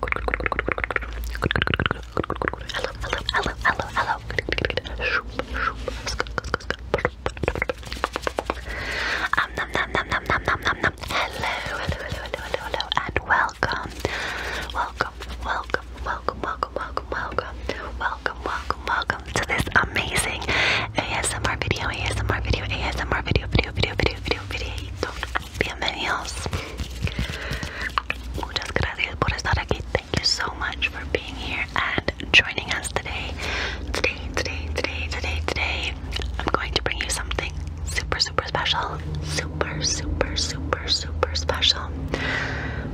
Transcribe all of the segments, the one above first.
Hello, hello, hello, hello, hello. Um, nom, nom, nom, nom, nom, nom, nom, nom. Hello, hello, hello, hello, hello, hello, and welcome, welcome, welcome welcome, welcome, welcome, welcome, welcome, welcome, welcome, to this amazing ASMR video, ASMR video, ASMR video, video, video, video, video, video. Bienvenidos. Muchas gracias por estar aquí. Thank you so much for being here and joining us today. Today, today, today, today, today, I'm going to bring you something super, super special. Super, super, super, super special.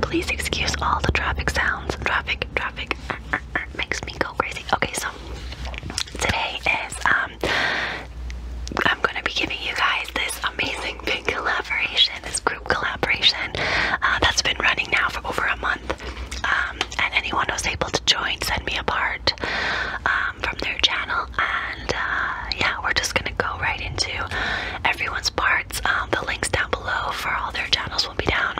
Please excuse all the traffic sounds. Traffic, makes me go crazy. Okay, so today is um I'm gonna be giving you guys this amazing big collaboration, this group collaboration uh, that's been running now for over a month. Um, and anyone who's able to join, send me a part um, from their channel. And uh, yeah, we're just gonna go right into everyone's parts. Um, the links down below for all their channels will be down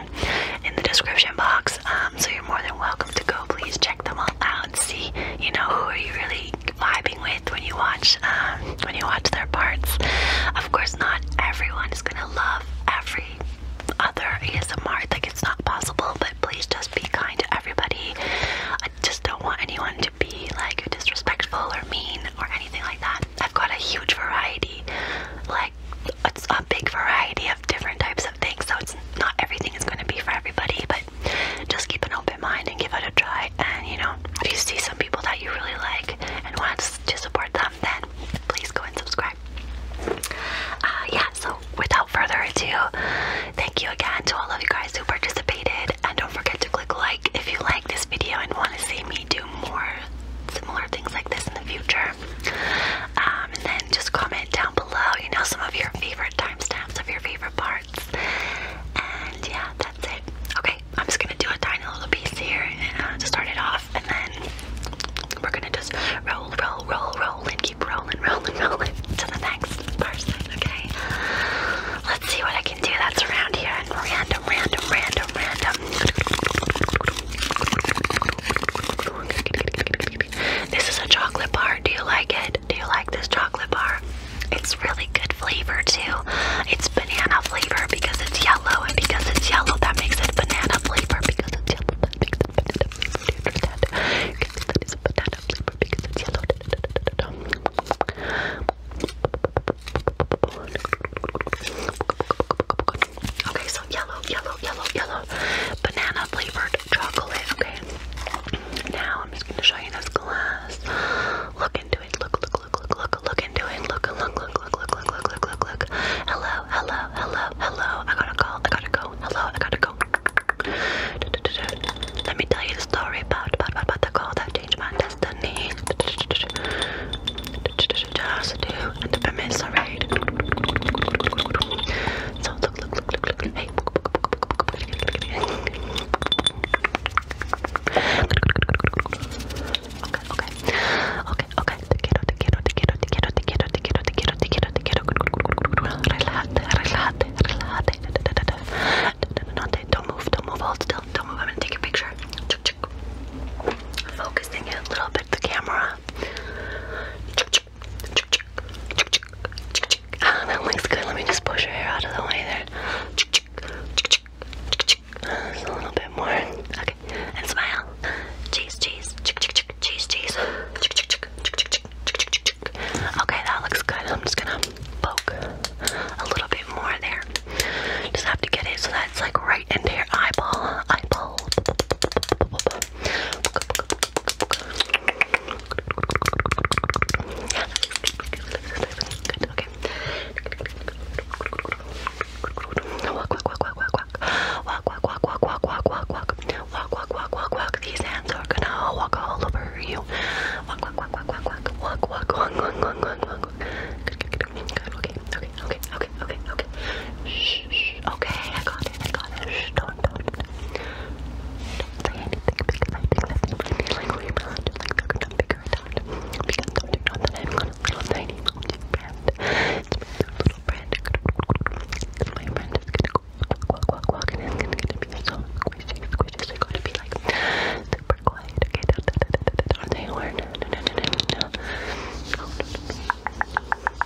in the description box. Um, so you're more than welcome to go. Please check them all out. See, you know, who are you really vibing with when you watch um, when you watch their parts. Of course, not everyone is gonna love every other ASMR. Like it's not possible. But please just be kind to everybody. I just don't want anyone to be like disrespectful or mean or anything like that. I've got a huge variety, like it's a big variety of different types of things. So it's not everything is going to be for everybody, but just keep an open mind and give it a try. And you know, if you see some people that you really like and want to support them, then please go and subscribe. Uh, yeah. So without further ado, thank you again to all of you guys who participated, and don't forget to click like if you like this video and want to see me do more similar things like this in the future. Um, and then just comment down below, you know, some of your favorite timestamps of your favorite parts. And yeah, that's it. Okay, I'm just gonna do a tiny little piece here and, uh, to start it off, and then we're gonna just roll, roll, roll, roll, and keep rolling, rolling, rolling to the next person, okay? Let's see what I can do that's around here and random, random, random, random. This is a chocolate bar. Do you like it? Do you like this chocolate bar? It's really good flavor too. It's banana flavor because it's yellow, and because it's yellow, that makes it banana flavor. Because it's yellow, that makes it banana Because it's yellow. Da, da, da, da, Okay, so yellow, yellow, yellow, yellow, banana flavored chocolate. Okay, now I'm just going to show you this glass. Look into it. Look, look, look, look, look, look into it. Look, look, look, look, look, look, look, look, look, Hello, hello, hello, hello. I gotta call. I gotta go. Hello, I gotta go. Let me tell you the story about about about, about the call that changed my destiny should just do and commiserate. So look, look, look, look, look, hey. Okay, okay, okay, okay. Te quiero, te quiero, te quiero, te quiero, te quiero, te quiero, te quiero, te quiero, te quiero. Relájate, relájate, relájate. No, no, no, don't move, don't move. Hold still, don't move. I'm gonna take your picture. Focusing it a little bit, the camera. Ah, that looks good. Let me just push her hair out of the way there. a little bit more. Okay, and smile. Cheese, cheese, cheese, cheese. Okay, that looks good. I'm just gonna poke a little bit more there. Just have to get it so that's like right into your eyeball. Eyeball okay, okay, okay, okay, okay, okay. Shh, shh, okay, I got it, I got it. Shh, don't, don't, don't say anything because I think that's pretty like we're not to like figure it out, figure it out. Because don't you know that I've got a little tiny mountain brand. It's my little brand. And my brand is gonna go walk, walk, walk, and it's gonna, gonna be so squishy, squishy, so you gotta be like super quiet, okay? Da, da, da, da, da, da. Are they or no, no, no, no, no, no. Oh, no, no.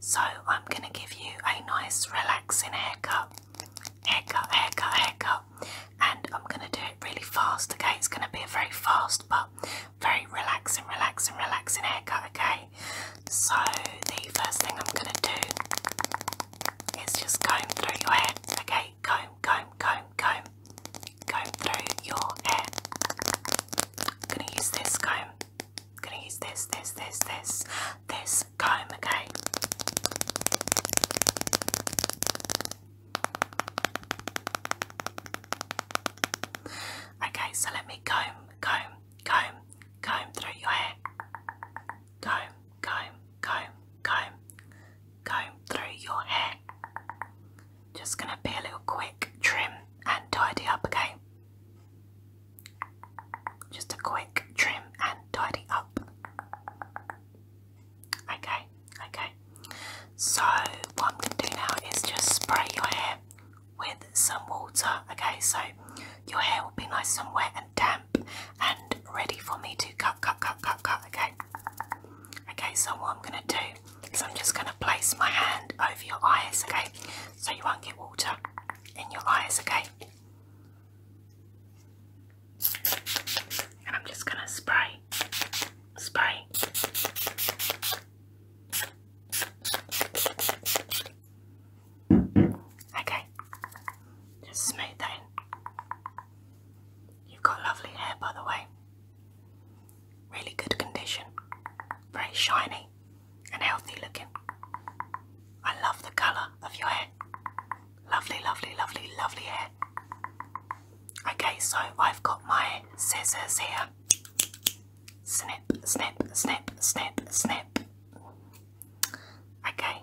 so I'm going to give you a nice relaxing haircut. Haircut, haircut, haircut. And I'm going to do it really fast, okay? It's going to be very fast but very relaxing, relaxing, relaxing haircut, okay? So the first thing I'm going to do is just comb through your hair, okay? Comb, comb, comb, comb. Comb through your hair. I'm going to use this comb. I'm gonna use this, this, this, this, this comb, okay? Okay, so let me comb, comb, comb, comb through your hair. Comb, comb, comb, comb, comb through your hair. Just gonna be a little quick trim and tidy up, okay? Just a quick trim and tidy up. Okay, okay. So, what I'm going to do now is just spray your hair with some water. Okay, so your hair will be nice and wet and damp and ready for me to cut, cut, cut, cut, cut. Okay, okay. So, what I'm going to do is I'm just going to place my hand over your eyes. Okay, so you won't get water in your eyes, okay? And I'm just going to spray, spray. Okay, just smooth that in. You've got lovely hair, by the way. Really good condition, very shiny and healthy looking. I love the colour of your hair. Lovely, lovely, lovely, lovely hair. Okay, so I've got my scissors here. Snip, snip, snip, snip, snip. Okay.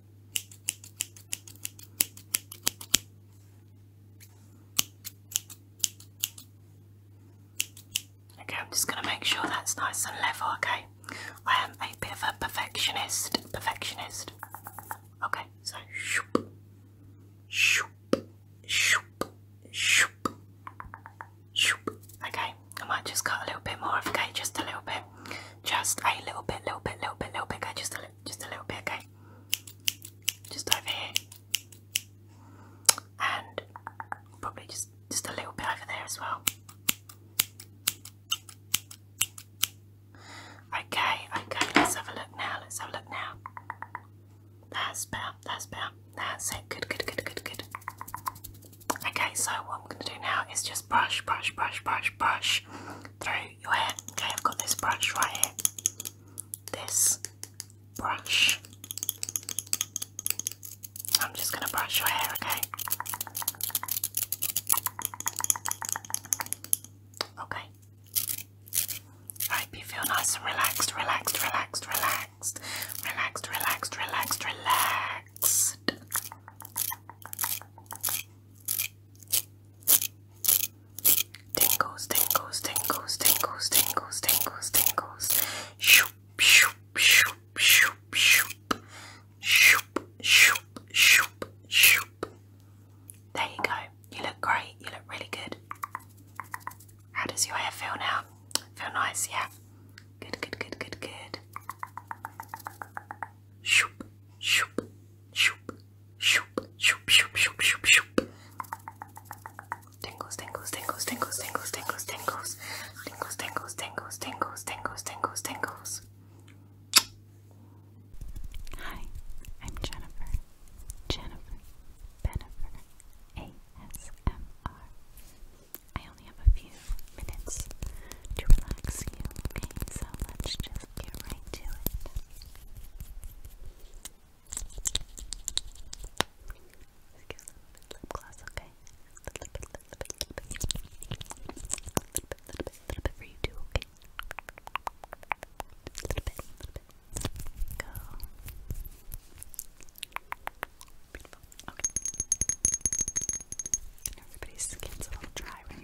Okay, I'm just going to make sure that's nice and level, okay? I am a bit of a perfectionist. Perfectionist. Okay, so shoop, shoop, shoop, shoop, shoop. Okay, I might just cut a little bit more, okay? Just a little bit. Just a little bit, little bit, little bit, little bit, okay? Just a just a little bit, okay? Just over here, and probably just just a little bit over there as well. Okay, okay, let's have a look now. Let's have a look now. That's better, that's better. That's it. Good, good, good, good, good. Okay, so what I'm gonna do now is just brush, brush, brush, brush, brush through your hair. Okay, I've got this brush right here. This brush. I'm just going to brush your hair, okay? Okay. I hope you feel nice and relaxed, relaxed, relaxed, relaxed, relaxed, relaxed, relaxed, relaxed. Tingles, tingles, tingles, tingles, tingles, tingles, tingles. Shoop, shoop, shoop, shoop, shoop. Shoop, shoop, shoop, shoop. There you go. You look great. You look really good. How does your hair feel now? Feel nice, yeah? Good, good, good, good, good. Shoop, shoop, Shoop, shoop, shoop, shoop, shoop, shoop, shoop. Tingles, tingles, tingles, tingles, tingles, tingles, tingles. Tingles, tingles, tingles, tingles, tingles, tingles, tingles. Hi, I'm Jennifer. Jennifer Benifer ASMR. I only have a few minutes to relax you, okay? So let's just get right to it. let get a lip gloss, okay? A little bit, little bit, little bit. little bit, little bit, little bit for you too, okay? little bit, little bit. Go. Okay. everybody's skin's a little dry right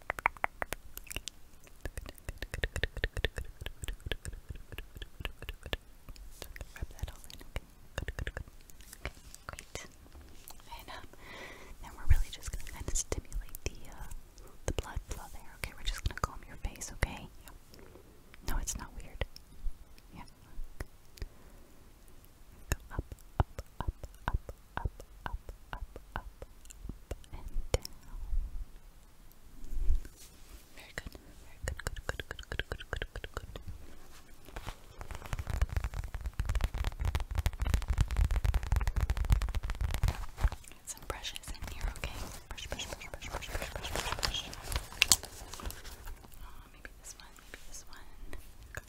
okay? great. And then we're really just gonna kind of stimulate the the blood flow there. Okay, we're just gonna comb your face, okay? No, it's not weird. Yeah. up, up, up, up, up, up, up, up, up, and down. Very good, very good, good, good, good, good, good, good, good, good. Get some brushes in here, okay? Brush, brush, brush, brush, brush, brush, brush, brush, brush. Oh, maybe this one, maybe this one. Okay.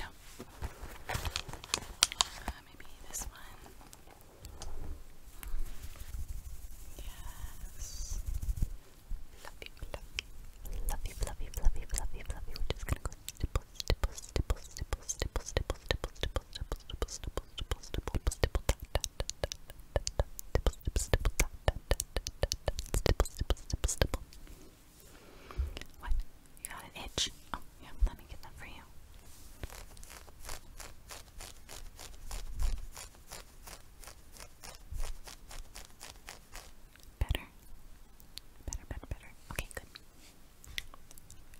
No. Uh, maybe this one. Yes. Fluffy, fluffy, fluffy, fluffy, fluffy, fluffy. We're just gonna go stipple, stipple, stipple, stipple, stipple, stipple, stipple, stipple, stipple, stipple, stipple, stipple, stipple, stipple, dot, dot, dot, dot, dot, stipple, what? You got an itch? Oh, yeah, let me get that for you. Better? Better, better, better. Okay, good.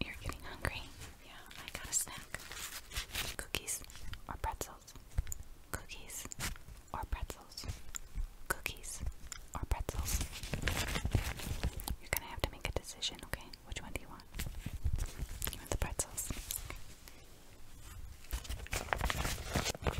You're getting hungry? Yeah, I got a snack. Cookies or pretzels? Cookies or pretzels. Cookies or pretzels. You're gonna have to make a decision, okay? Which one do you want? You want the pretzels? Pretzel. Here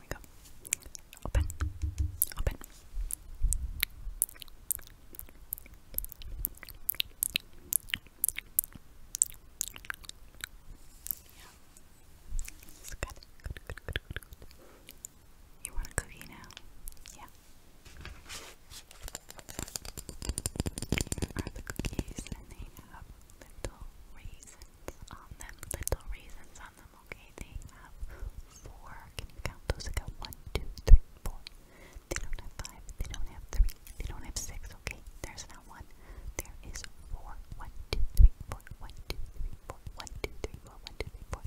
we go. Open. Open. Yeah. This is good. Good, good, good, good, good. You want a cookie now? Yeah. Here are the cookies, and they have little raisins on them. Little raisins on them, okay? They have four. Can you count those? I got one, two, three, four. They don't have five. They don't have three. They don't have six. Okay, there's not one. There is four. One, two, three, four. One, two, three, four. One, two, three, four. One, two, three, four.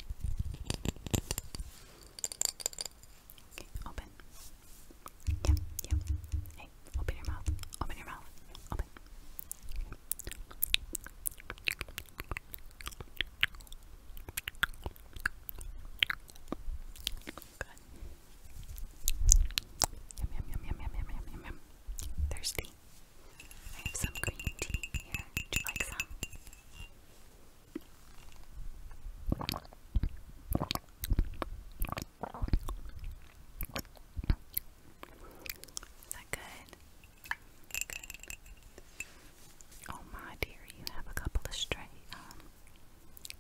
Okay, open. Yeah, yeah. Hey, open your mouth. Open your mouth. Open. Yum, yum, yum, yum, yum, yum, yum, yum, yum. Thirsty? I have some green tea here. Would you like some? Is that good? Good. Oh my dear, you have a couple of stray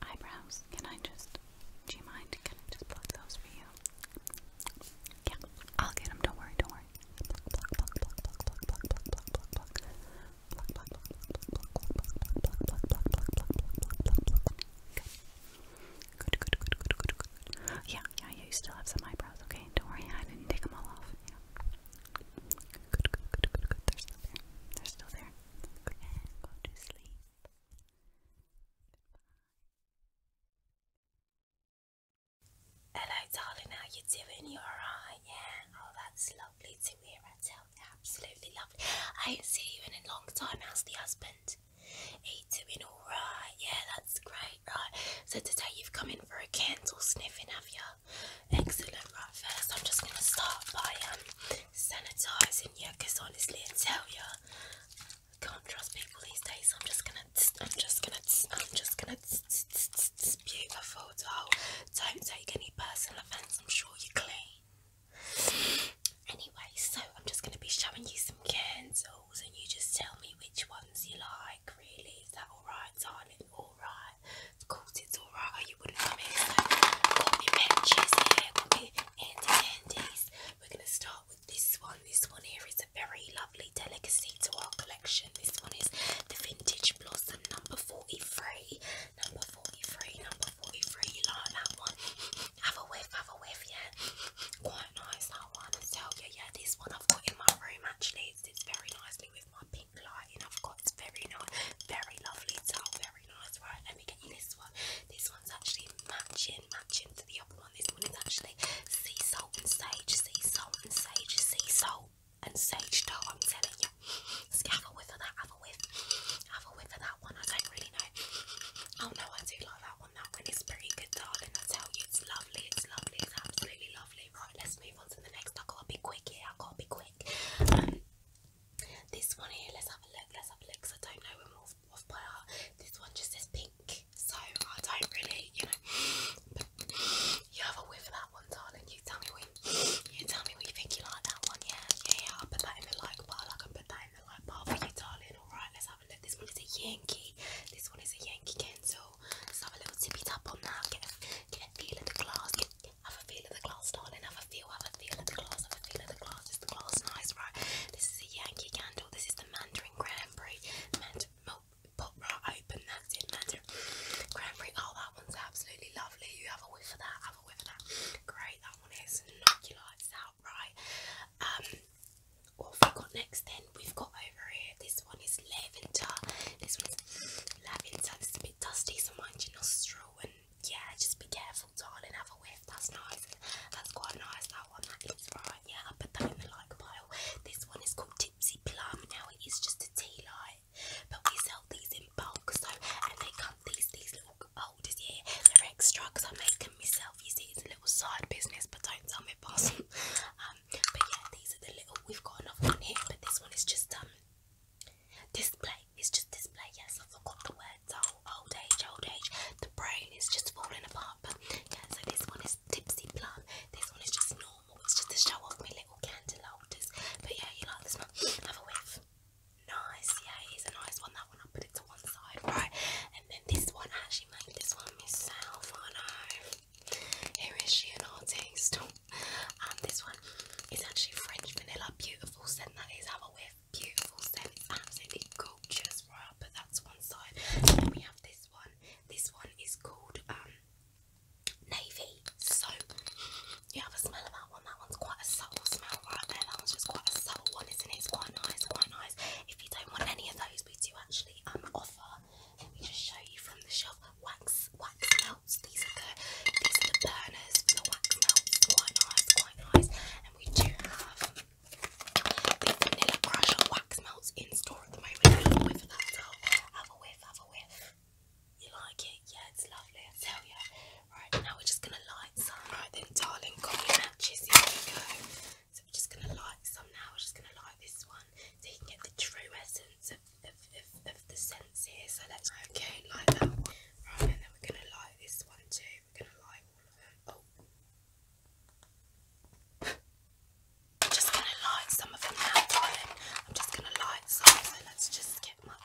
eyebrows. Can I just, do you mind? Can I just pluck those for you? Yeah, I'll get them. Don't worry, don't worry. Yeah, yeah, yeah. You still have some eyebrows, okay? Don't worry, I didn't take them all off. They're still there. They're still there. Good. to sleep. Hello, darling. How you doing? You alright? Yeah. Oh, that's lovely to hear. I tell you, absolutely lovely. I ain't seen you in a long time. How's the husband? He doing alright? Yeah, that's great. Right. So today you've come in for a candle sniffing, have you? Excellent. Right, first I'm just going to start by um, sanitizing you because honestly, I tell you, I can't trust people these days. I'm just going to, I'm just going to, I'm just going to, beautiful doll. Don't take any personal offense. I'm sure you're clean. Anyway, so I'm just going to be showing you some candles and you just tell me which ones you like, really. Is that alright, darling? Alright of course it's alright, you wouldn't come in. So, call matches here, call me Andy We're going to start with this one. This one here is a very lovely delicacy to our collection. This one is the Vintage Blossom number 43. Number 43, number 43. like that one? Have a whiff, have a whiff, yeah. Quite nice that one. So, yeah, yeah, this one I've got in my room actually. It's, very nicely with my pink lighting. I've got very nice, very lovely towel, very nice. Right, let me get you this one. This one's actually matching, matching to the other one. This one is actually sea salt and sage, sea salt and sage, sea salt and sage dough. I'm telling you. have a whiff of that. Have a whiff. Have a whiff of that one. I don't really know. Oh no, I do like that one. That one is pretty good, darling. I tell you, it's lovely. It's lovely. It's absolutely lovely. Right, let's I'll gotta be quick here. I've gotta be quick. Um, this one here. Let's have a look. Let's have a look. I don't know them off, off by heart. This one just says pink, so I don't really, you know. you have a whiff of that one, darling. You tell me what you, tell me what you think you like that one. Yeah, yeah, I'll put that in the light bar. I can put that in the light bar for you, darling. All right. Let's have a look. This one is a Yankee. This one is a Yankee candle. Let's have a little tippy tap on that. Get a, get a feel of the glass. Have a feel of the glass, darling. Have a feel, have a feel of the glass, have a feel of the glass. Is the glass nice, right? This is a Yankee candle. This is the Mandarin Cranberry. Mandarin milk pot right open. That's it, Mandarin Cranberry. Oh, that one's absolutely lovely. You have a whiff of that. Have a whiff of that. Great. That one is knock your lights out, right? Um, what have we got next? Then we've got over here. This one is lavender. This one's lavender. This dusty, so mind nostril. And yeah, just be careful, darling. Have a whiff. That's nice. That's quite nice. That one, that is right. Yeah, I put that in the like pile. This one is called Tipsy Plum. Now it is just a tea light, but we sell these in bulk. So and they come these these little holders here. They're extra because I make them myself. You little side business, but don't tell me, boss. Um, but yeah, these are the little. We've got another one here, but this one is just um display it's just display, yes, I forgot the words. old age, old age. The brain is just falling apart. But yeah, so this one is tipsy plum. This one is just normal. It's just to show off my little candle holders. But yeah, you like this one. Have a whiff. Nice, yeah, it is a nice one. That one I put it to one side, right? And then this one actually made this one myself. I know. Here is she an artist. Um, this one is actually French vanilla, beautiful scent. That is have a whiff, beautiful scent. absolutely gorgeous, right? I'll one side. Then we have this one. This one is called um, navy. So you have a smell of that one. That one's quite a subtle smell right there. That one's just quite a subtle one, isn't it? It's quite nice, quite nice. If you don't want any of those, we do actually um offer. Let me just show you from the shelf wax wax these are the these are the burners the wax melts. Quite nice, quite nice. And we do have the vanilla crusher wax melts in store at the moment. Have a whiff Have a whiff, You like it? Yeah, it's lovely, I tell you. Right, now we're just gonna light some. Right then, darling, got your matches, here we go. So we're just gonna light some now. We're just gonna light this one so you can get the true essence of, the scents here. So let's okay, light that one. Right, and then we're gonna light this one too. We're gonna light all of them. Oh. I'm just gonna light some of them now, darling. I'm just gonna light some. So let's just get my.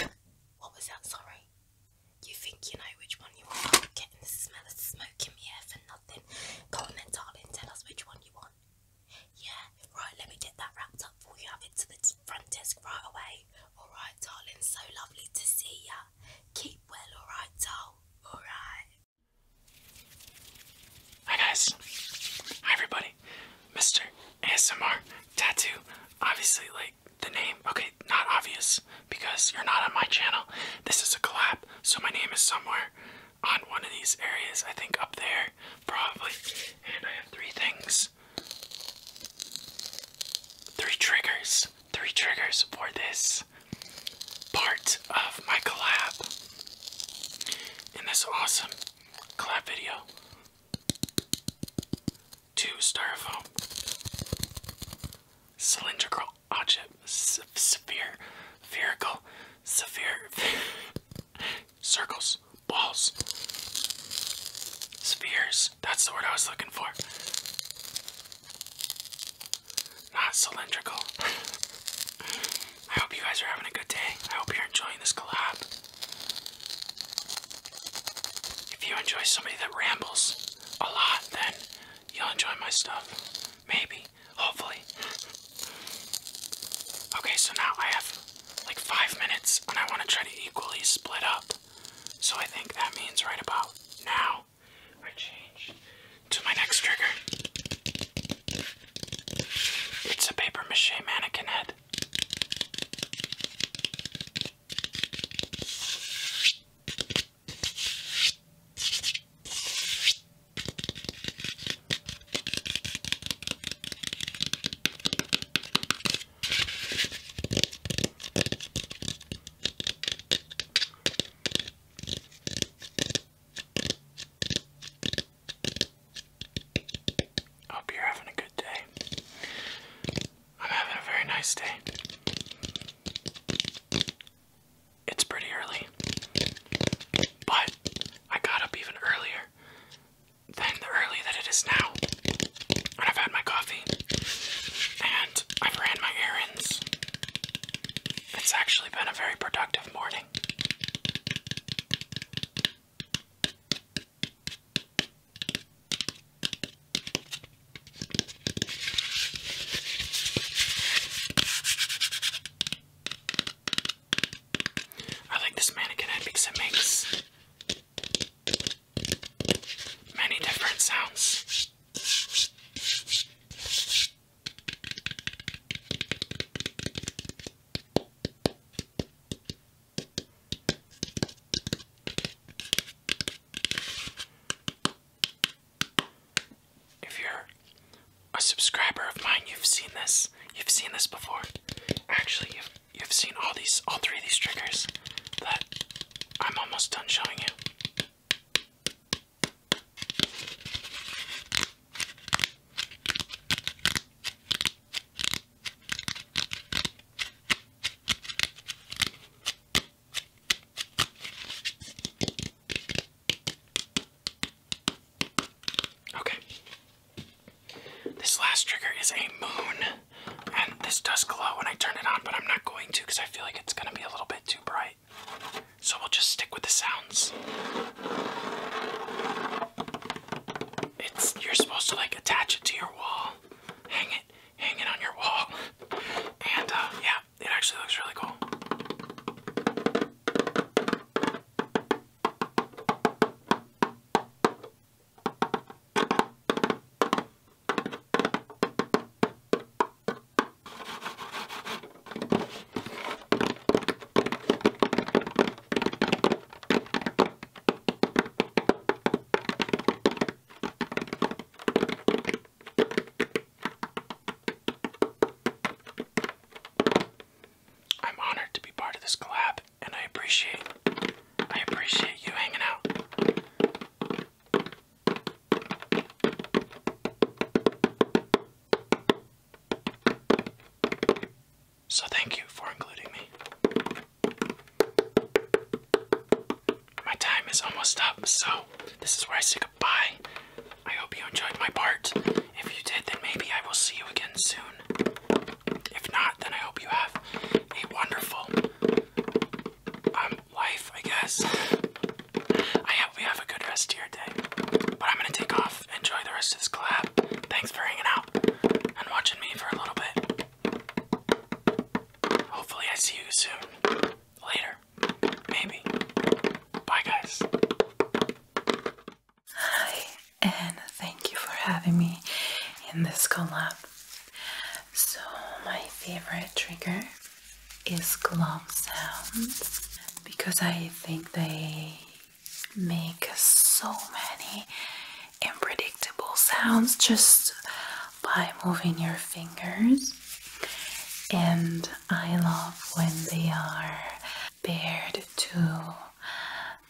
what was that? Sorry. You think you know which one you want? getting the smell of smoke in the air for nothing. Go on then, darling. Tell us which one you want. Yeah, right, let me get that wrapped up for you. Have it to the front desk right away. Alright, darling, so lovely to see ya. Keep well, alright, Alright. Hi, guys. Hi, everybody. Mr. ASMR Tattoo. Obviously, like the name, okay, not obvious because you're not on my channel. This is a collab, so my name is somewhere on one of these areas. I think up there, probably. And I have three things Three triggers. Three triggers for this part of my collab in this awesome collab video. Two styrofoam cylindrical object sphere spherical sphere circles, balls, spheres. That's the word I was looking for. Not cylindrical. I hope you guys are having a good day. I hope you're enjoying this collab. If you enjoy somebody that rambles a lot, then you'll enjoy my stuff. Maybe. Hopefully. Okay, so now I have like five minutes, and I want to try to equally split up. So I think that means right about now, I change to my next trigger. It's a paper mache mannequin head. Hope you're having a good day. I'm having a very nice day. It's pretty early, but I got up even earlier than the early that it is now. And I've had my coffee and I've ran my errands. It's actually been a very productive morning. I like this mannequin head because it makes many different sounds. If you're a subscriber of mine, you've seen this. You've seen this before. Actually, you've you've seen all these, all three of these triggers that I'm almost done showing you. Okay, this last trigger is a moon, and this does glow when I turn it on, but I'm not going to because I feel like it's going to be a little bit too bright. So we'll just stick with the sounds. It's you're supposed to like attach it to your wall, hang it, hang it on your wall, and uh, yeah, it actually looks really cool. I'm honored to be part of this collab and I appreciate I appreciate you hanging out. So thank you for including me. My time is almost up, so this is where I say goodbye. I hope you enjoyed my part. If you did, then maybe I will see you again soon. If not, then I hope you have a wonderful um, life, I guess. I hope we have a good rest of your day. But I'm gonna take off, enjoy the rest of this collab. Thanks for hanging out and watching me for a little bit. Hopefully, I see you soon. Later. Maybe. Bye, guys. Hi and thank you for having me in this collab. So, my favorite trigger is glove sounds because I think they make so many unpredictable sounds just by moving your fingers. And I love when they are paired to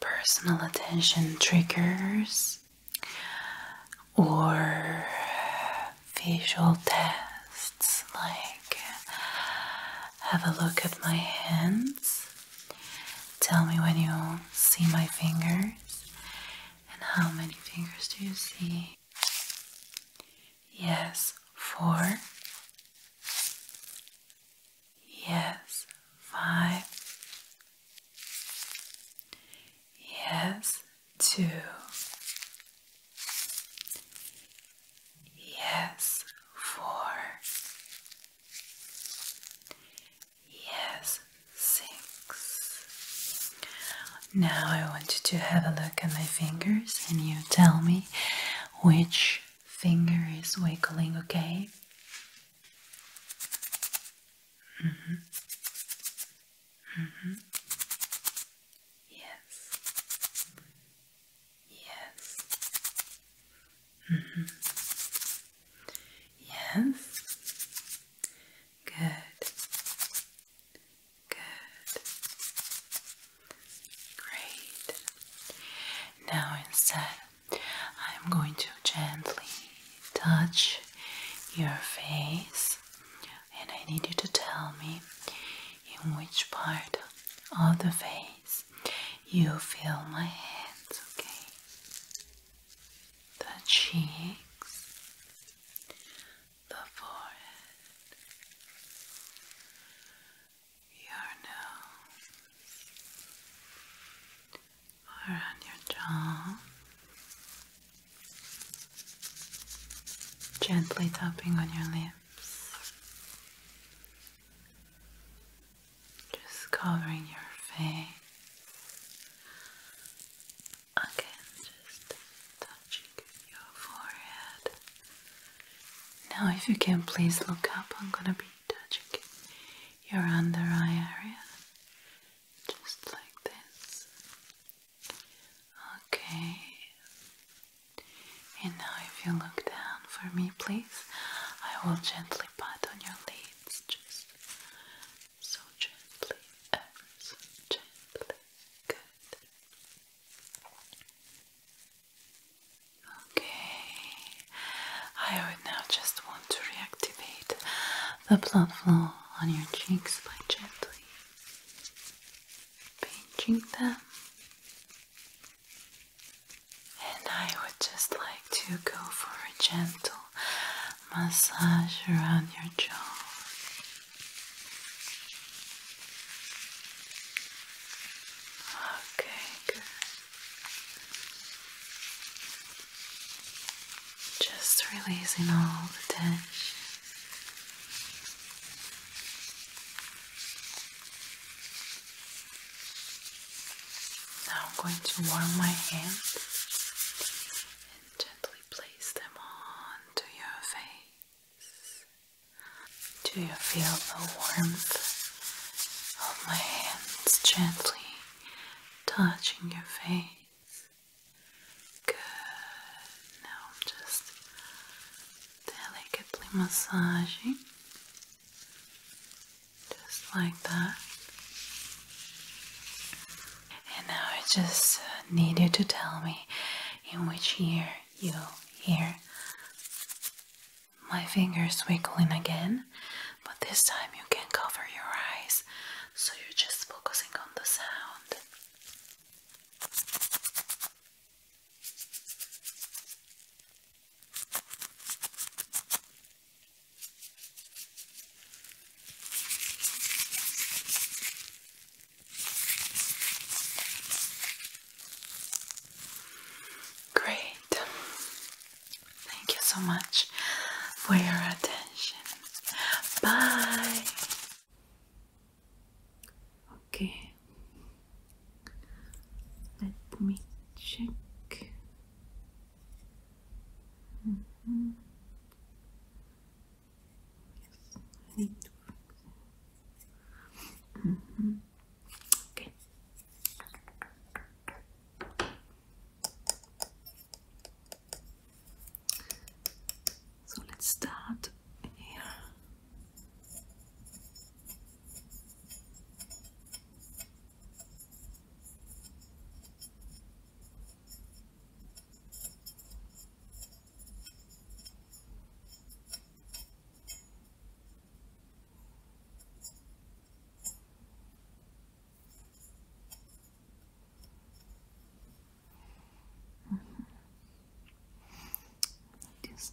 personal attention triggers or visual tests like have a look at my hands, tell me when you see my fingers, and how many fingers do you see? Yes, four. Yes, five. Yes, two. Yes, four. Yes, six. Now I want you to have a look at my fingers and you tell me which finger is wiggling, okay? Mm -hmm. Mm -hmm. Yes. Yes. Mm -hmm. Yes. Good. Good. Great. Now instead I'm going to gently touch your face, and I need you to tell me in which part of the face you feel my hands, okay? The cheeks, the forehead, your nose, around your jaw, gently tapping on your lips, just covering your face. Again, just touching your forehead. Now, if you can please look up, I'm gonna be touching your under eye area just like this. Okay. And now, if you look down for me, please, I will gently pat on your lids, just so gently, ever so gently. Good. Okay. I would now just want to reactivate the blood flow on your cheeks by gently pinching them. And I would just like to go for a gentle massage around your jaw. Okay, good. Just releasing all the tension. Now I'm going to warm my hands and gently place them onto your face. Do you feel the warmth of my hands gently touching your face? Good. Now I'm just delicately massaging. Just like that. And now I just uh, need you to tell me in which ear you hear my fingers wiggling again but this time you can cover your eyes so you're just focusing on the sound. Great. Thank you so much for your attention. Bye. Okay. Let me check. -hmm. Yes, -hmm. Okay. So let's start here. Mm -hmm. This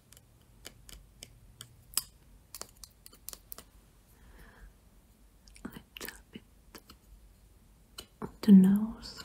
a little bit the nose.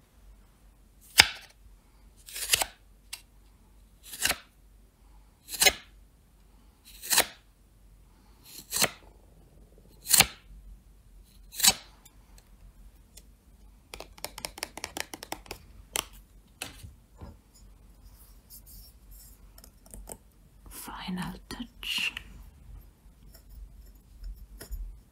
Final touch.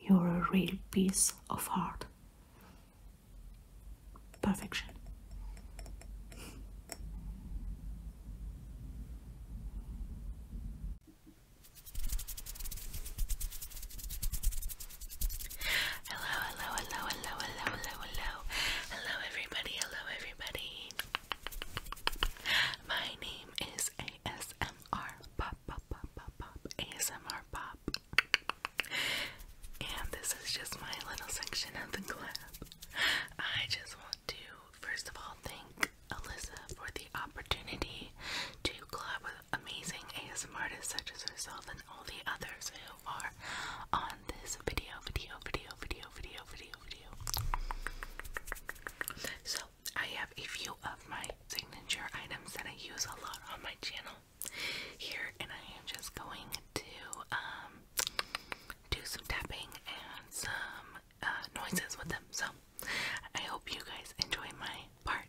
You're a real piece of art. Perfection. Hello, hello, hello, hello, hello, hello, hello. Hello, everybody. Hello, everybody. My name is ASMR Pop pop, pop, pop, pop, ASMR pop. And this is just my little section of the club. I just want to, first of all, thank Alyssa for the opportunity to collab with amazing ASM artists such as herself and all the others who are on this video, video, video, video, video, video. So I have a few of my signature items that I use a lot on my channel here, and I am just going to um, do some tapping and some uh, noises with them. So I hope you guys enjoy my part.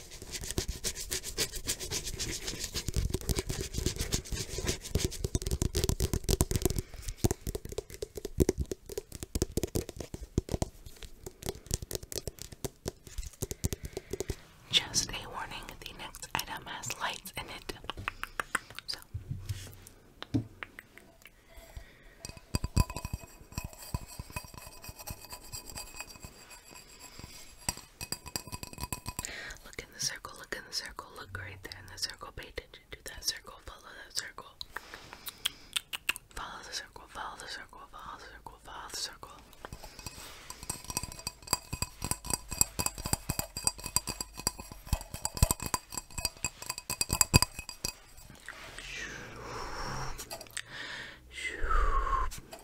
Just a warning, the next item has lights in it. So Look in the circle, look in the circle, look right there in the circle. Pay attention to that circle, follow that circle. Follow the circle, follow the circle, follow the circle, follow the circle. Shoop, shoop,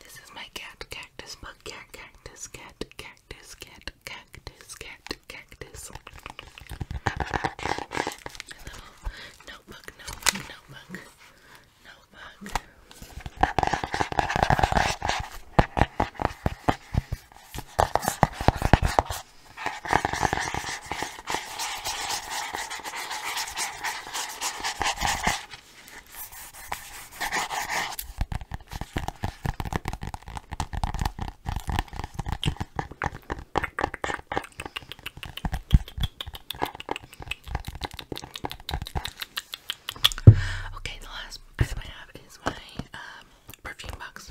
This is my cat cactus bug cat cactus cat cactus cat cactus cat cactus. Uh, uh, a little notebook, notebook, notebook, notebook. Okay, the last item I have is my um, perfume box.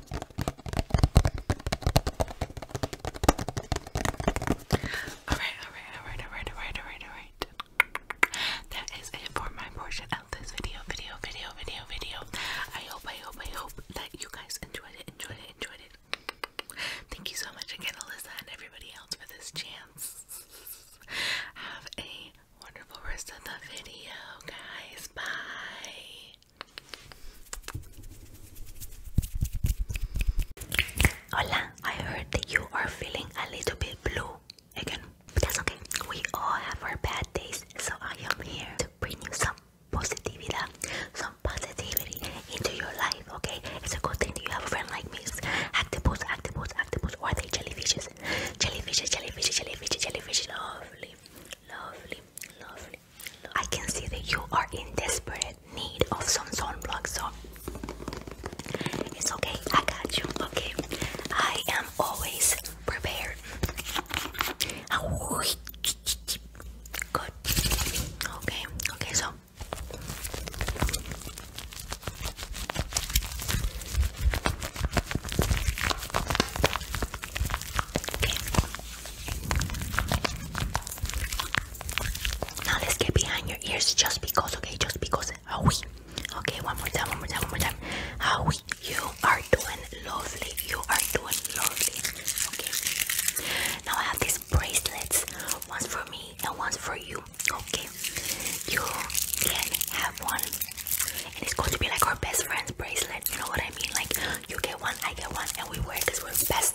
Alright, alright, alright, alright, alright, alright, alright. That is it for my portion of this video, video, video, video, video. I hope, I hope, I hope that you guys enjoyed it, enjoyed it, enjoyed it. Thank you so much again, Alyssa, and everybody else for this chance. Have a wonderful rest of the video, guys. Bye. Hola, I heard that you are feeling a little bit blue again. That's okay. We all have our bad days, so I am here to bring you some positivity, some positivity into your life, okay? It's a good thing that you have a friend like me. Octopus, octopus, octopus, or are they jellyfishes? Jellyfishes, jellyfishes, jellyfishes, jellyfishes, lovely, lovely, lovely. I can see that you are in desperate need of some sunblock, so it's okay. I got you. Okay, I am always prepared. Good. Okay. Okay. So. Now let's get behind your ears just because, okay? Just because. How we? Okay, one more time, one more time, one more time. How we? You are doing lovely. You are doing lovely. Okay. Now I have these bracelets. One's for me and one's for you. Okay. You can have one. And it's going to be like our best friend's bracelet. You know what I mean? Like you get one, I get one, and we wear because we're best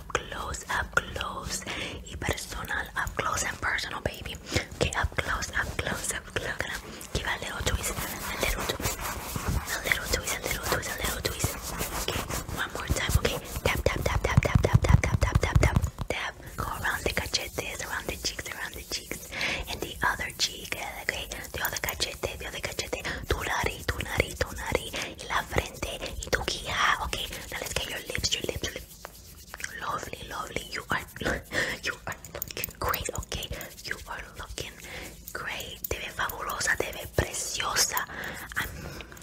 up close, up close y personal, up close and personal, baby. Okay, up close, up close, up close. I'm gonna give a little twist, a little twist, a little twist, a little twist, a little twist. Okay, one more time. Okay, tap, tap, tap, tap, tap, tap, tap, tap, tap, tap, tap, tap. Go around the cachetes, around the cheeks, around the cheeks, and the other cheek. Okay, the other cachete, the other cachete. Tu nariz, tu nariz, tu nariz, y la frente. Okay, now let's get your lips, your lips, your lips. Lovely, lovely. You are, you are looking great. Okay, you are looking great. Te fabulosa, te preciosa. I'm,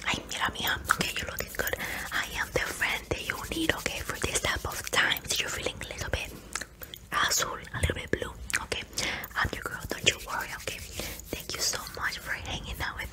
ay, mira, mía. Okay, you're looking good. I am the friend that you need. Okay, for this type of times, you're feeling a little bit a little bit blue. Okay, I'm your girl. Don't you worry. Okay, thank you so much for hanging out with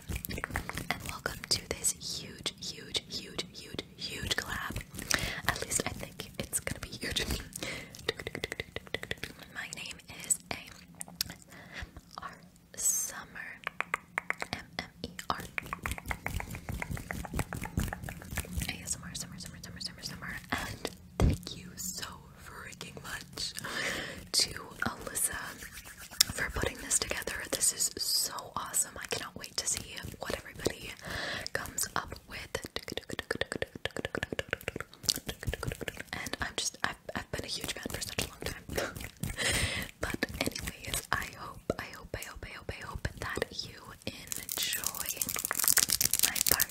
and welcome to this huge, huge, huge, huge, huge collab. At least I think it's gonna be huge. My name is A.M.R. Summer. M-M-E-R. A.S.M.R. Summer, Summer, Summer, Summer, Summer. And thank you so freaking much to Alyssa for putting this together. This is so awesome. I cannot wait to see what everybody comes up with. And I'm just, I've, I've been a huge fan for such a long time. but, anyways, I hope, I hope, I hope, I hope, I hope that you enjoy my part.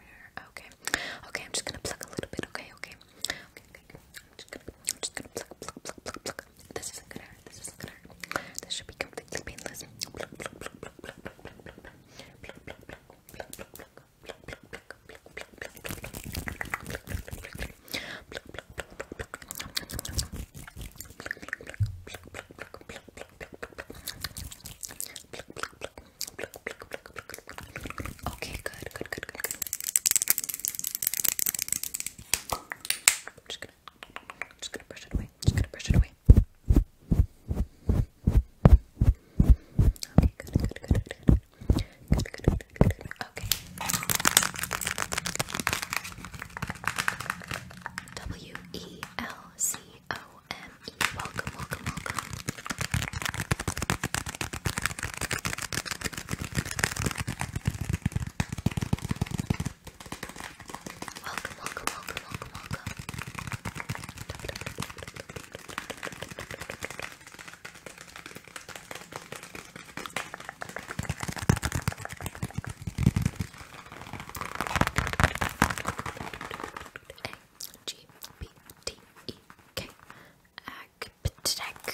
nowhere. Okay. Okay, I'm just gonna pluck a little bit, okay, okay. Okay, okay, okay. I'm just gonna I'm just gonna pluck, pluck, pluck, pluck, pluck. This isn't gonna hurt, this isn't gonna hurt. This should be completely painless. Pluck, pluck, pluck, pluck, pluck, pluck, pluck, pluck, pluck, pluck, pluck, pluck, pluck, pluck, pluck. Okay, good, good, good, good, just gonna, just gonna brush it away. just gonna brush it away. Okay, good, good, good, good, good, good, good. Okay. W E L C OME. Welcome, welcome, Welcome, welcome, welcome, welcome, welcome. G P T E K Agptek.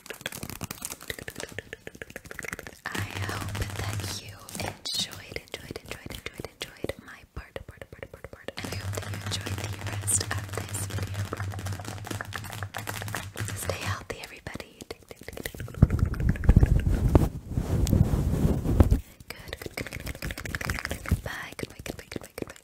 I hope that you enjoyed, enjoyed, enjoyed, enjoyed, enjoyed my part, part, part, part, part. I hope that you enjoyed the rest of this video. Stay healthy, everybody. Good, Goodbye, goodbye, goodbye, goodbye.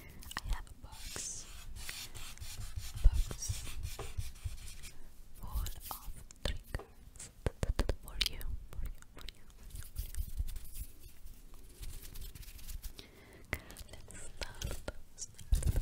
I have books, books full for you, for you, for you, for you. Let's start.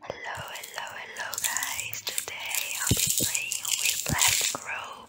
Hello, hello, hello, guys! Today I'll be playing with Black Grove.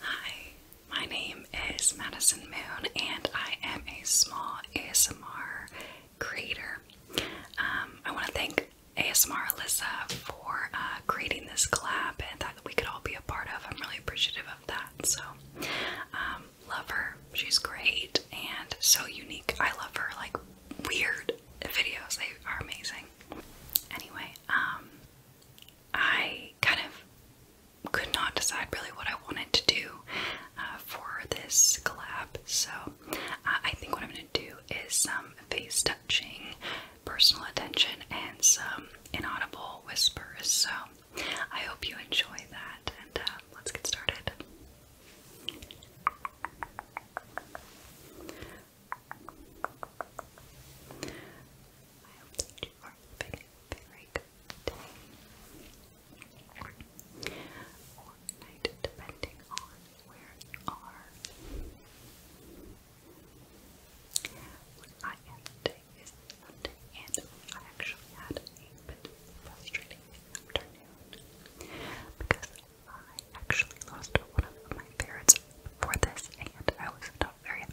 Hi, my name is Madison Moon, and I am a small ASMR creator. Um, I want to thank ASMR Alyssa for uh, creating this collab and that we could all be a part of. I'm really appreciative of that. So, um, love her. She's great and so unique. I love her. Like, weird videos. They are amazing. Anyway, um, I kind of could not decide really what I wanted to do uh, for this collab. So, uh, I think what I'm going to do is some face touching, personal attention, and some inaudible whispers. So I hope you enjoy that, and uh, let's get started where you are. What I had today is Sunday, and I actually had a bit frustrating afternoon because I actually lost one of my ferrets for this, and I was not very happy.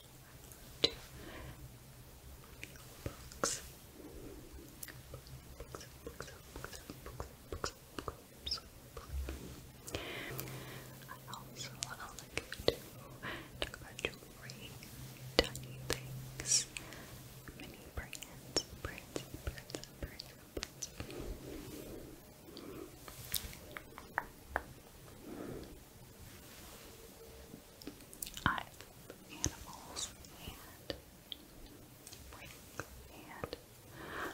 books. Books, books, books, books, books, books, books. I also like to talk about jewelry, tiny things, many brands, brands, brands, brands, brands. I love animals and and um,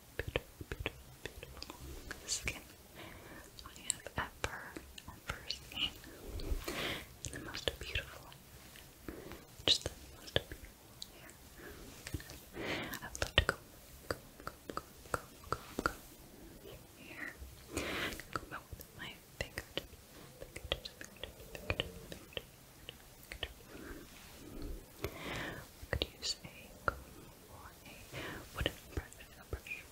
beautiful, beautiful, beautiful skin I have ever, ever seen. The most beautiful, just the most beautiful hair. I would love to go, go, go, go, go, go, go here. go back my fingertips, fingertips, fingertips, fingertips, fingertips. could use a for I hope that you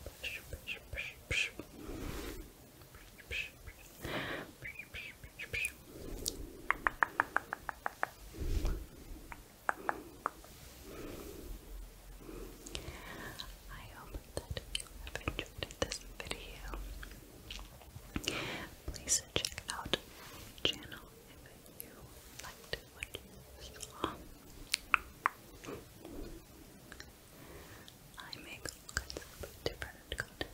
enjoyed this video. Please check out my channel if you liked what you I make different content,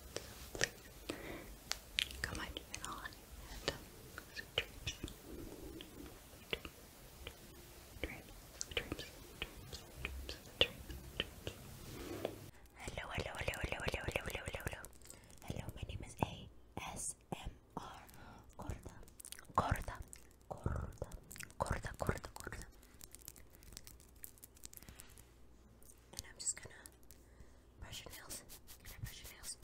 come my channel and um, Hello, hello, hello, hello, hello, hello, hello, hello. Hello, my name is A S ASMR Korda Korda Korda Korda Korda Korda And I'm just gonna brush your nails Can I brush your nails?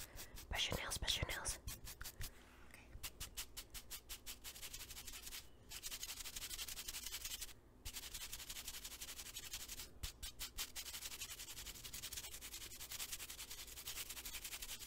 Brush your nails, brush your nails Okay.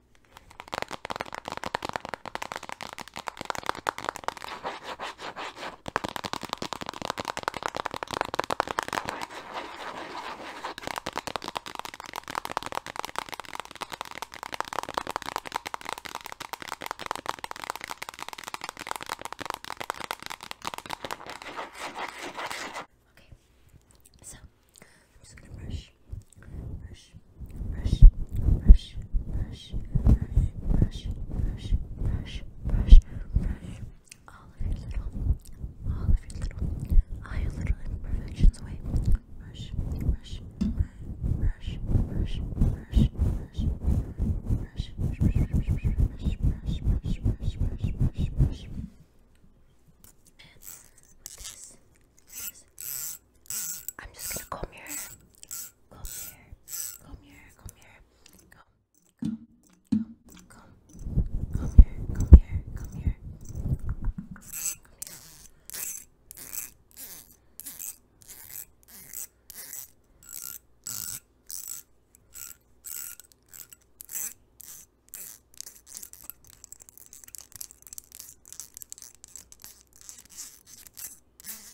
Okay, so I'm just gonna brush brush, brush, brush, brush, brush, brush, brush, brush, brush, all of your little, all of your little, all your little imperfections away. Brush, brush, brush, brush, brush, brush, brush, brush, brush, brush, brush, brush, brush, brush, brush, brush, brush. And with this, I'm just gonna comb your hair. Comb your hair. Comb your hair. Comb your hair. Comb, comb, comb, comb. Comb your hair. Comb your hair. Comb your hair. Comb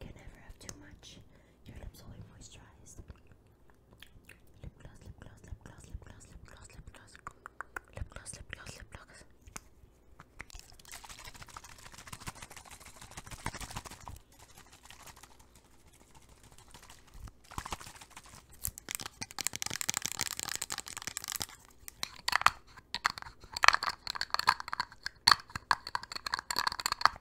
You never have too much. Your lips always moisturized. Lip gloss, lip gloss, lip gloss, lip gloss, lip gloss, lip gloss, lip gloss, lip gloss, lip gloss.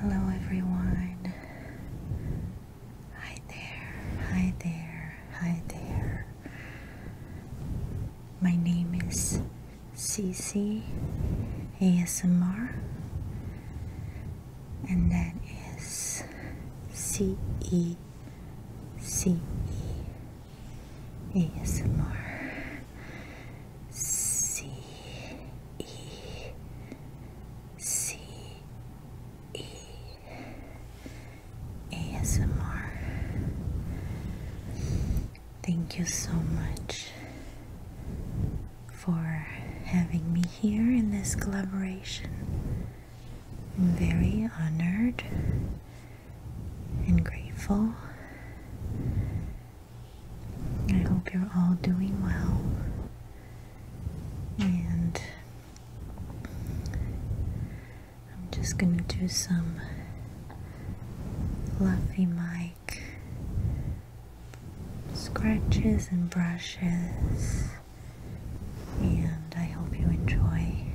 Hello, everyone. Hi there, hi there, hi there. My name is CC ASMR, and that is C E C E ASMR C E C E ASMR. Thank you so much for having me here in this collaboration. I'm very honored and grateful. I hope you're all doing well and I'm just going to do some fluffy mic scratches and brushes and I hope you enjoy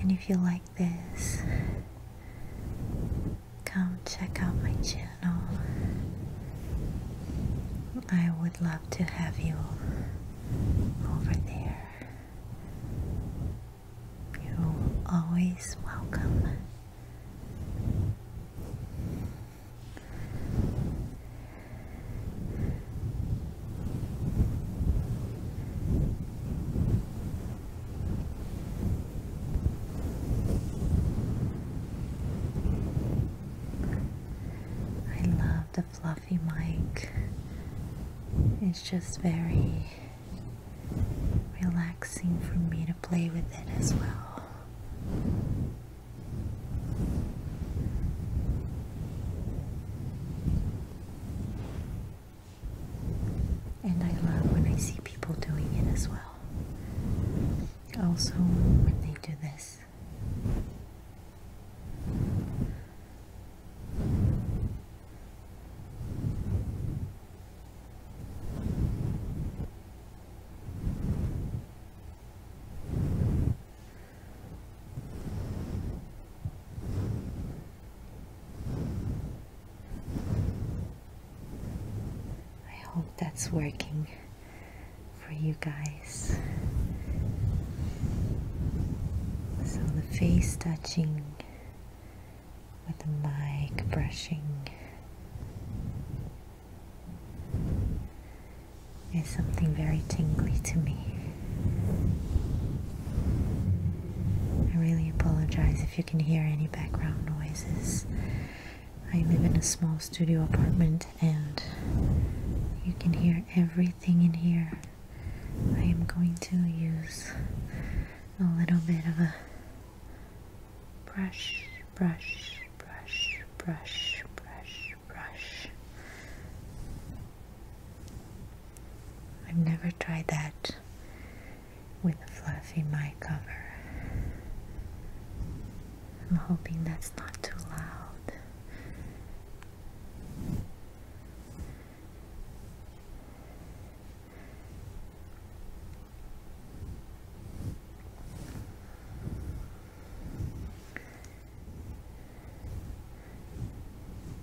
and if you like this, come check out my channel. I would love to have you over there. You're always welcome. I love the fluffy mic. It's just very relaxing for me to play with it as well. And I love when I see people doing it as well. Also, when they do this, I hope that's working for you guys. So the face touching with the mic brushing is something very tingly to me. I really apologize if you can hear any background noises. I live in a small studio apartment and you can hear everything in here. I am going to use a little bit of a brush, brush, brush, brush, brush, brush I've never tried that with a fluffy mic cover. I'm hoping that's not too loud.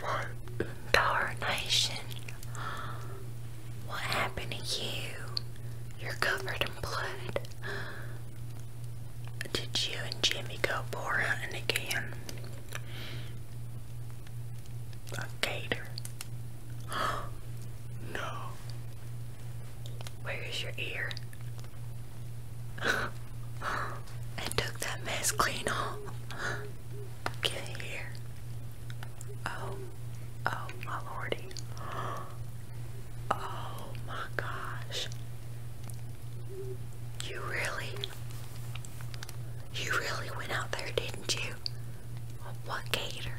What darnation? What happened to you? You're covered in blood. Did you and Jimmy go boar hunting again? A gator. no. Where is your ear? I took that mess clean off. Get here. Oh, oh my lordy. Oh my gosh. You really, you really went out there, didn't you? What gator?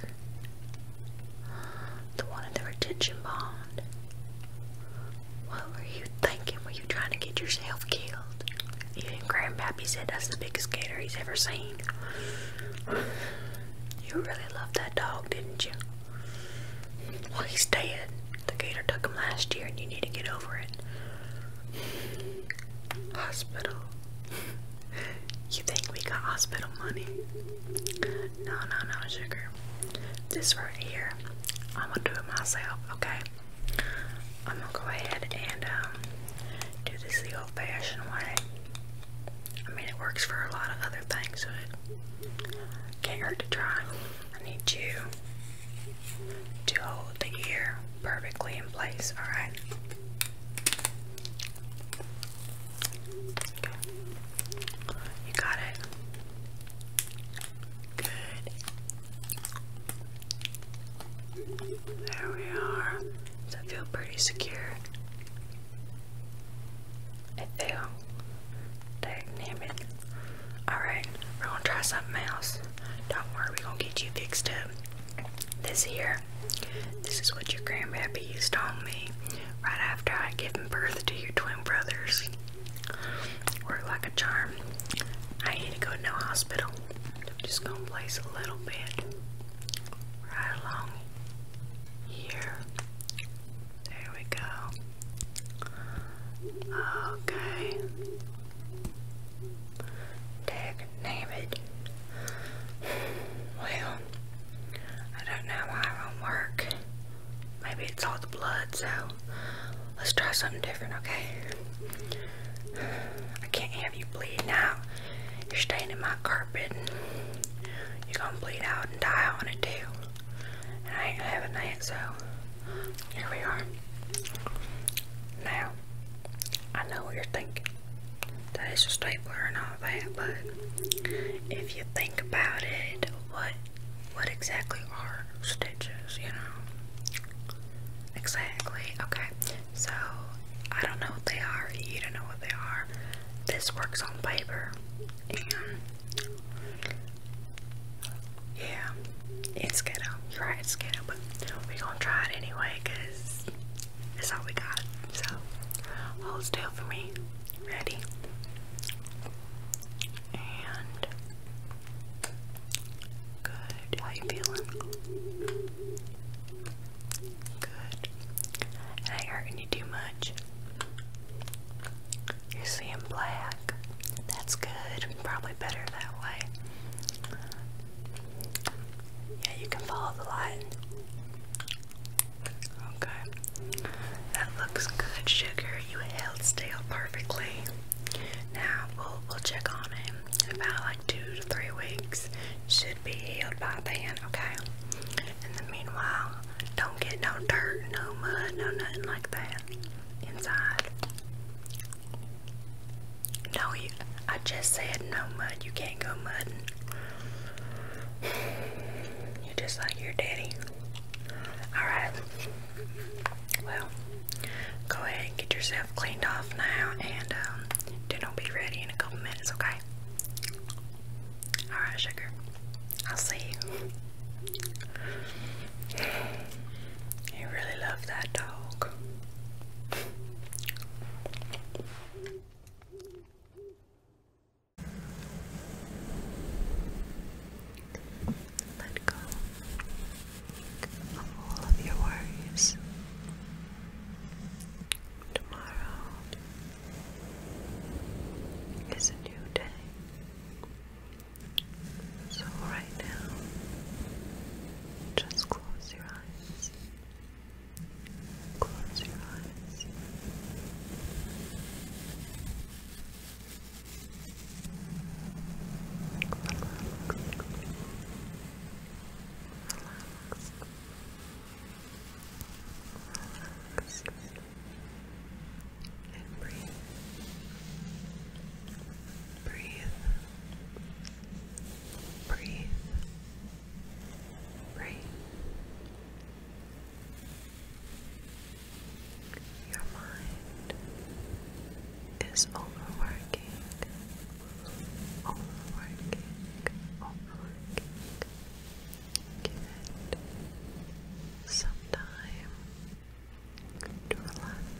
The one in the retention bond. What were you thinking? Were you trying to get yourself killed? Even Grandpappy said that's the biggest gator he's ever seen. You really loved that dog, didn't you? Well, he's dead. The gator took him last year, and you need to get over it. Hospital. You think we got hospital money? No, no, no, sugar. This right here, I'm gonna do it myself, okay? I'm gonna go ahead and um, do this the old fashioned way. I mean, it works for a lot of other things, so can't hurt to try. I need you to hold the ear perfectly in place, alright? You got it. Good. There we are. Does that feel pretty secure? It feel. Dang it. Alright, we're gonna try something else. Don't worry, we gonna get you fixed up. This here, this is what your grandpappy used on me right after I given birth to your twin brothers. Worked like a charm. I need to go to no hospital. I'm just gonna place a little bit right along here. There we go. Okay. Dag name it. Well, I don't know why it won't work. Maybe it's all the blood, so Let's try something different, okay? I can't have you bleeding out. You're staining my carpet. You're gonna bleed out and die on it too. And I ain't having that, so here we are. Now, I know what you're thinking. That is a stapler and all that, but if you think about it, what what exactly are stitches, you know? Exactly. Okay. So I don't know what they are. You don't know what they are. This works on paper, and yeah, it's ghetto. You're right, it's ghetto, but we gonna try it anyway, cause that's all we got. So hold still for me. Ready? And Good. How you feeling? Good. I hurting you too much. You're seeing black. That's good. Probably better that way. Yeah, you can follow the line. Okay. That looks good, sugar. You held still perfectly. Now we'll we'll check on him about like two to three weeks. Should be healed by then, okay? In the meanwhile, don't get no dirt, no mud, no nothing like that inside. No, you, I just said no mud. You can't go mudding. You're just like your daddy. Alright. Well, go ahead and get yourself cleaned off now, and um, dinner will be ready in a couple minutes, okay? Alright, sugar. I'll see you. You really love that dog. Let go of all of your worries. Tomorrow is a new day. So, right now, just close your eyes. Close your eyes relaxed, relaxed, and breathe, breathe, breathe, breathe. Your mind is overworking overworking, overworking. Give it some time to relax,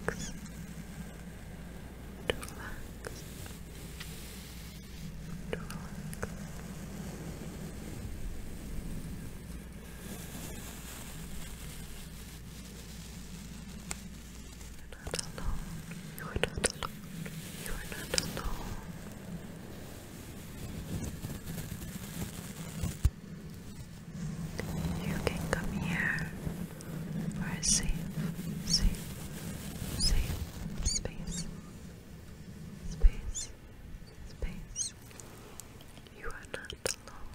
to relax, to relax not alone. You are not alone. You are not alone. You can come here for safe, safe, safe space. Space, space. You are not alone.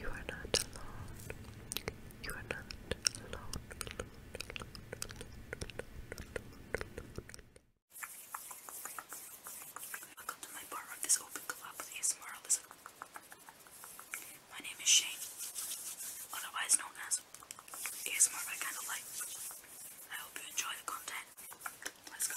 You are not alone. You are not alone. Welcome to my part of this open collab My name is Shane, otherwise known as ASMR by Candlelight. I hope you enjoy the content. Let's go.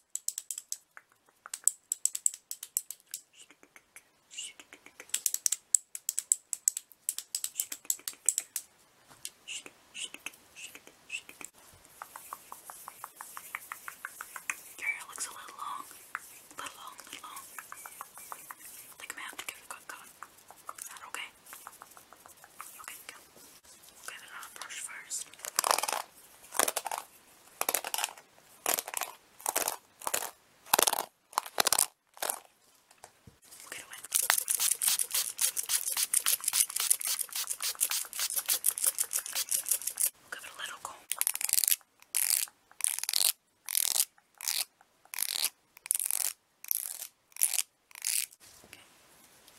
Your hair looks a little long, a little long, a little long. I think I may have to give it a quick cut. Is that okay? Okay, go. Get it on a brush first. We'll get away. We'll give it a little comb. Okay.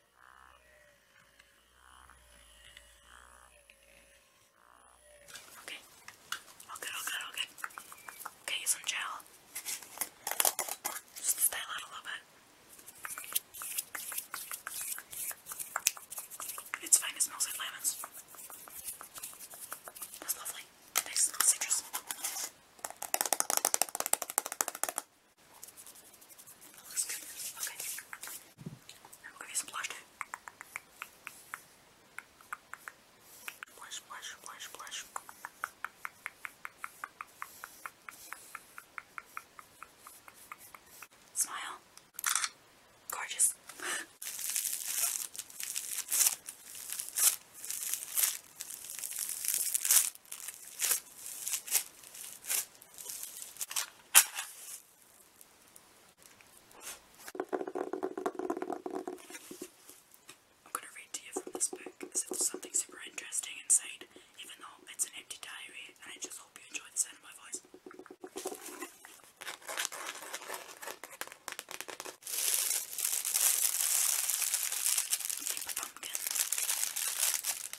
Okay. All good, all good, all good. Okay, some gel. Just style out a little bit. It's fine, it smells like lemons. That's lovely. Nice citrus looks good. Okay. I'm gonna use some blush Blush, blush, blush, blush. Smile. Gorgeous. I'm going to read to you from this book because something super interesting inside, even though it's an empty diary, and I just hope you enjoy the my voice. Paper pumpkin.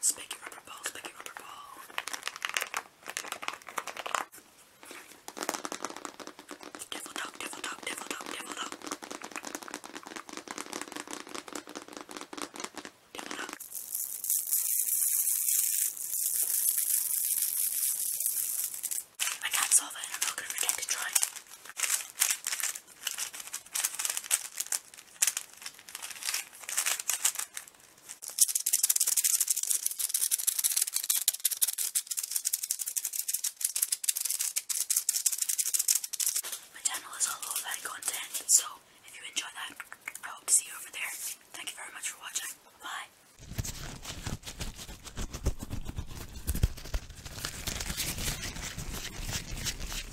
Spiky rubber ball, spiky rubber ball. Devil dog, devil dog, devil dog, devil dog. I can't solve it, I'm not gonna pretend to try. My channel is all low fat content, so if you enjoy that, I hope to see you over there. Thank you very much for watching. Bye.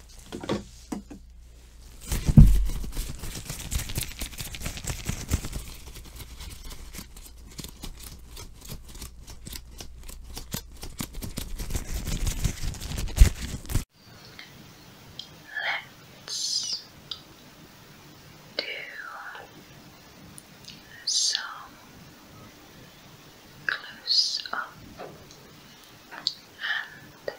Let's do some close up and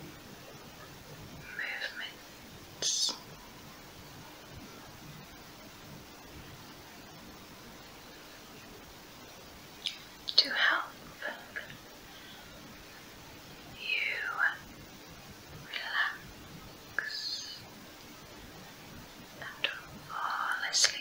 movements. To help you relax and fall asleep.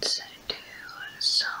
Let's do some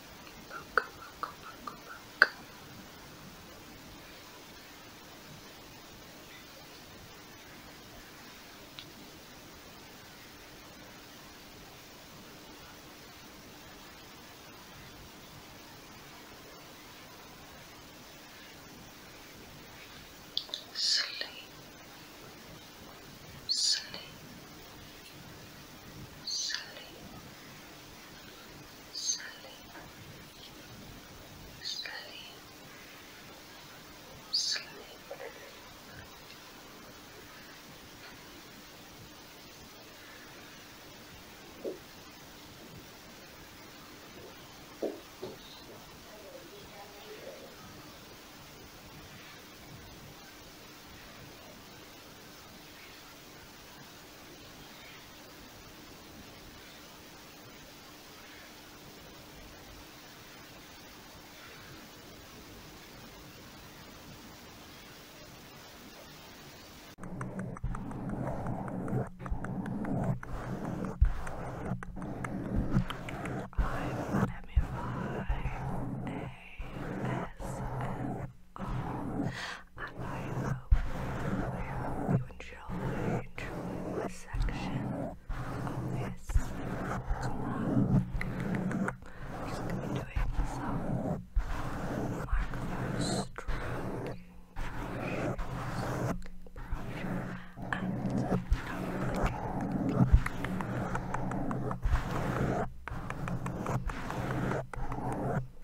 Poke, poke, poke, poke. Sleep, sleep, sleep, sleep, slowly, slowly, slowly. I'm Demi by ASMR. I hope, I hope you enjoy, enjoy my section of this vlog. I'm going to be doing some microphone stroking, and some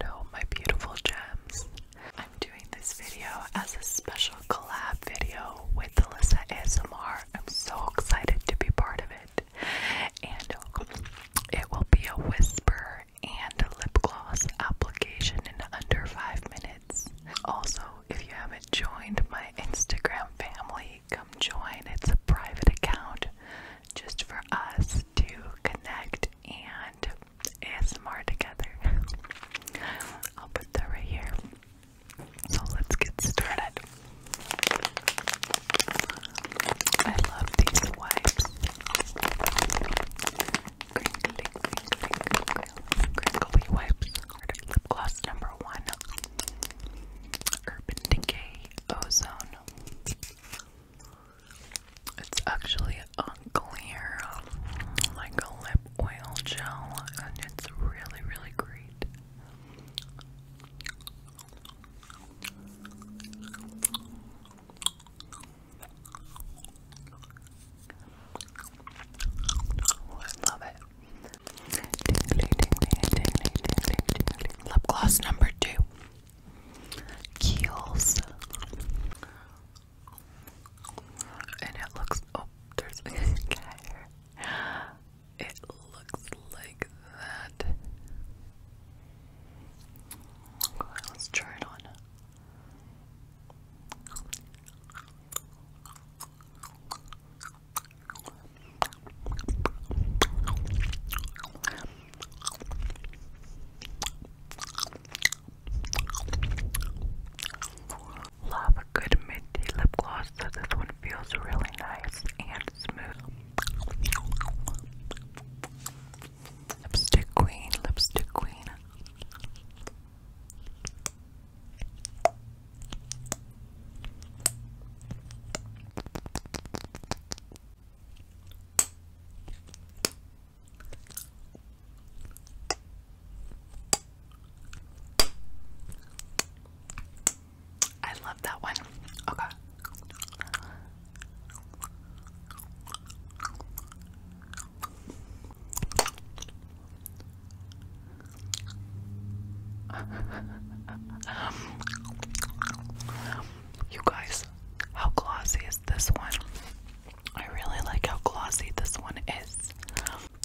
and my beautiful gems. I'm doing this video as a special collab video with Alyssa ASMR. I'm so excited to be part of it. And it will be a whisper and lip gloss application in under five minutes. Also, if you haven't joined my Instagram family, come join. It's a private account just for us to connect and ASMR together. I'll put that right here. So let's get started. I love these wipes. crinkly, crinkly, crinkly wipes. Lip gloss number one. Urban Decay Ozone. It's actually a clear, like a lip oil gel, and it's really, really great. I love it. Lip gloss number two. Kiehl's and it looks oh, there's a cat here. It looks like that. Let's try it on. Love a good minty lip gloss, so this one feels really nice and smooth. Lipstick Queen, Lipstick Queen. I love that one. Okay. you guys, how glossy is this one? I really like how glossy this one is.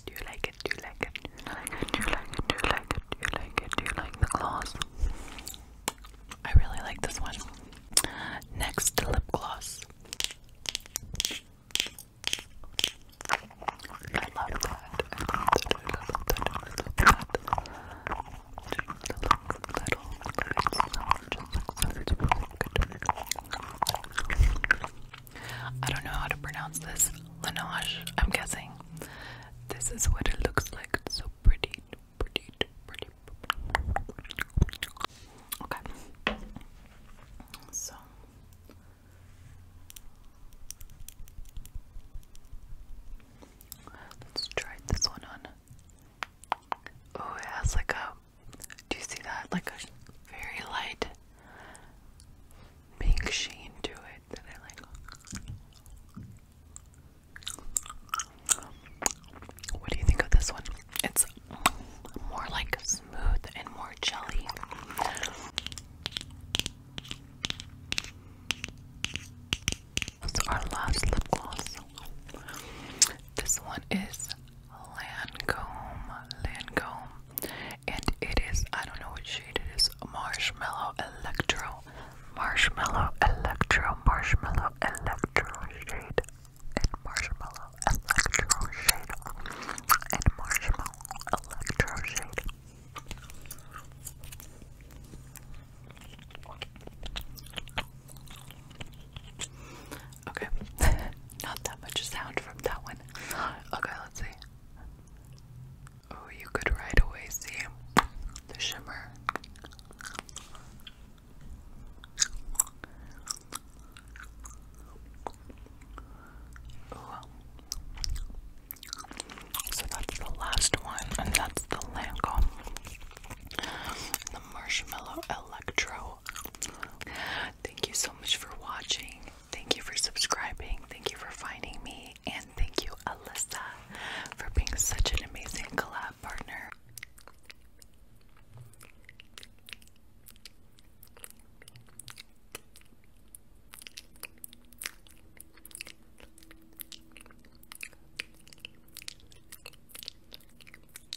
you like it? you like it? you like it? you like it? you like it? you like it? you like the gloss? I really like this one. Next lip gloss. I love that. I don't know how to pronounce this. Linosh, I'm guessing. This is what it looks like. It's so pretty, pretty, pretty. Okay. So. Let's try this one on. Oh, it has like a do you see that? Like a very light pink sheen to it that I like. What do you think of this one? It's more like smooth and more jelly. our last lip gloss. This one is Lancome, Lancome, and it is I don't know what shade it is. Marshmallow Electro, Marshmallow Electro, Marshmallow Electro shade, and Marshmallow Electro shade, and Marshmallow Electro shade. Okay. Not that much sound from that one. Okay, let's see. Oh, you could right away see the shimmer. So that's the last one, and that's the Lancome. The Marshmallow Electro Thank you so much for watching. Thank you for subscribing. Thank you for finding me. And thank you, Alyssa, for being such an amazing collab partner.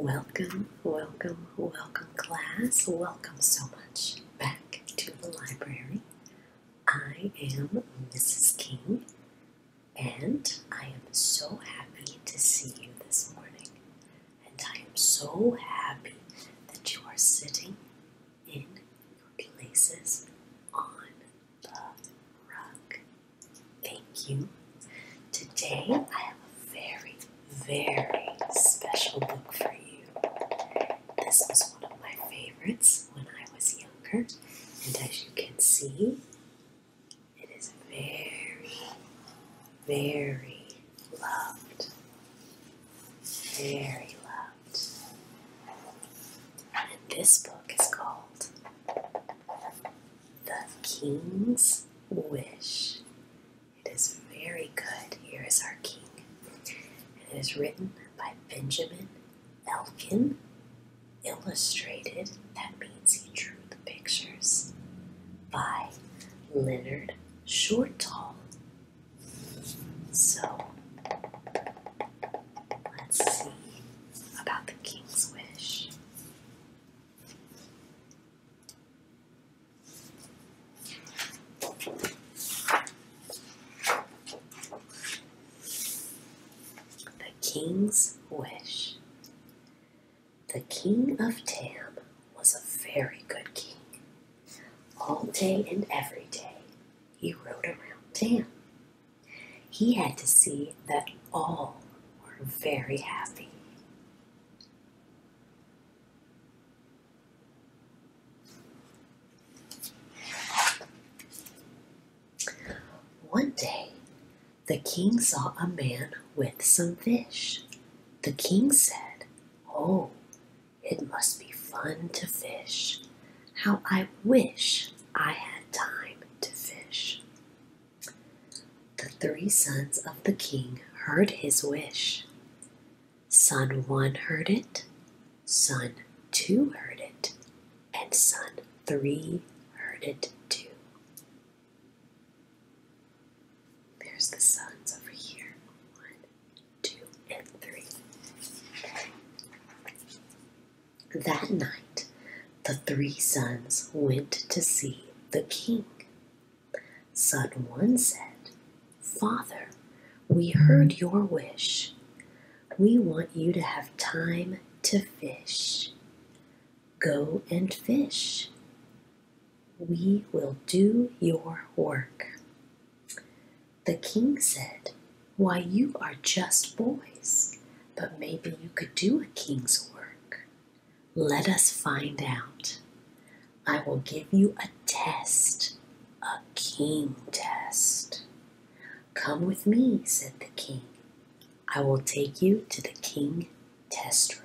Welcome, welcome, welcome, class. Welcome so much back to the library. I am Mrs. King, and I am so happy to see you this morning and I am so happy that you are sitting in your places on the rug. Thank you. Today I have a very, very special book for you. This was one of my favorites when I was younger, and as you can see, it is very, very loved, very loved. this book is called The King's Wish. It is very good. Here is our king. And it is written by Benjamin Elkin, illustrated, that means he drew the pictures, by Leonard short tall. So let's see about the king's wish. The king's wish. The king of Tam was a very good king. All day and every day, he rode around Tam. He had to see that all were very happy. One day, the king saw a man with some fish. The king said, Oh, it must be fun to fish. How I wish I had time to fish. The three sons of the king heard his wish. Son one heard it, son two heard it, and son three heard it too. There's the suns over here. One, two, and three. That night, the three sons went to see the king. Son one said, Father, we heard your wish. We want you to have time to fish. Go and fish. We will do your work. The king said, Why, you are just boys, but maybe you could do a king's work. Let us find out. I will give you a test, a king test. Come with me, said the king. I will take you to the king test room.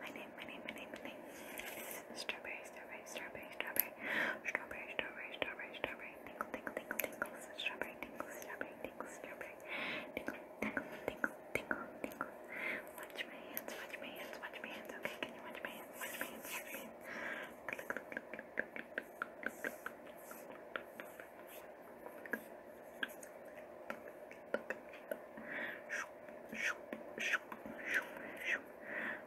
My name, my name, my name, my name. Strawberry, strawberry, strawberry, strawberry, strawberry, strawberry, strawberry, strawberry, tingle, tingle, tingle, tingle, strawberry, tingle, strawberry, tingle, strawberry, tingle, tingle, tingle, tingle, tingle. Watch my hands, watch my hands, watch my hands. Okay, can you watch my hands? Watch my hands, watch my hands. Shoop, shoop, shoop, shoop, shoop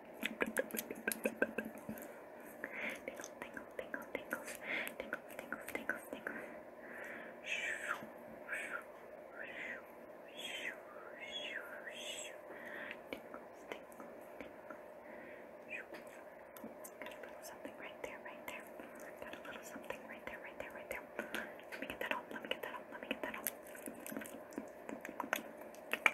Tingle, tingle, tingle, tingles, tingles, tingles, tingles, tingles. Tingles, tingle, tingle. Got a little something right there, right there. Got a little something right there, right there, right there. Let me get that home. Let me get that home. Let me get that home.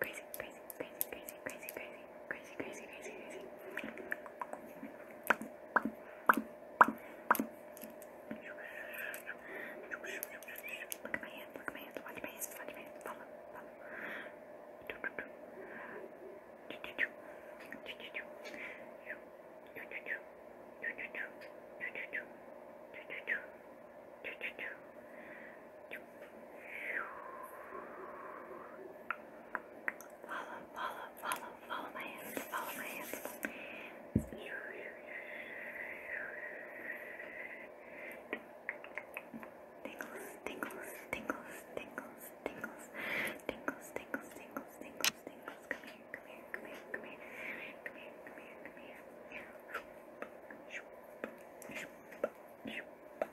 crazy, crazy, crazy, crazy, crazy, crazy, crazy, crazy, crazy. Look at my hands, look at my hands, watch my hands, watch my hands, follow, follow. Choo choo choo choo choo choo choo choo choo choo choo choo choo choo choo choo choo choo choo choo Follow, follow, follow, follow my hands, follow my hands. Tingles, tingles, tingles, tingles, tingles, tingles, tingles, tingles, tingles, tingles. Come here, come here, come here, come here, come here, come here, come here. Come here.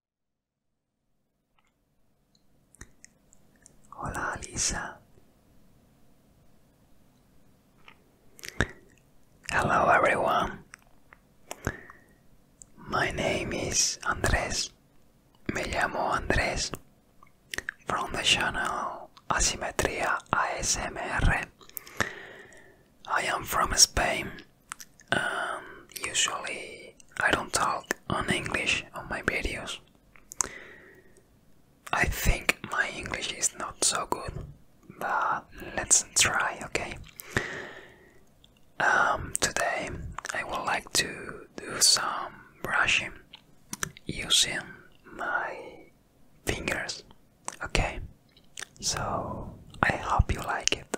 Hola Lisa. Hello everyone. My name is Andrés. Me llamo Andrés from the channel Asimetria ASMR. I am from Spain. Um, usually I don't talk on English on my videos. I think my English is not so good, but let's try, okay? Um, today I would like to do some brushing using my fingers, okay? So I hope you like it.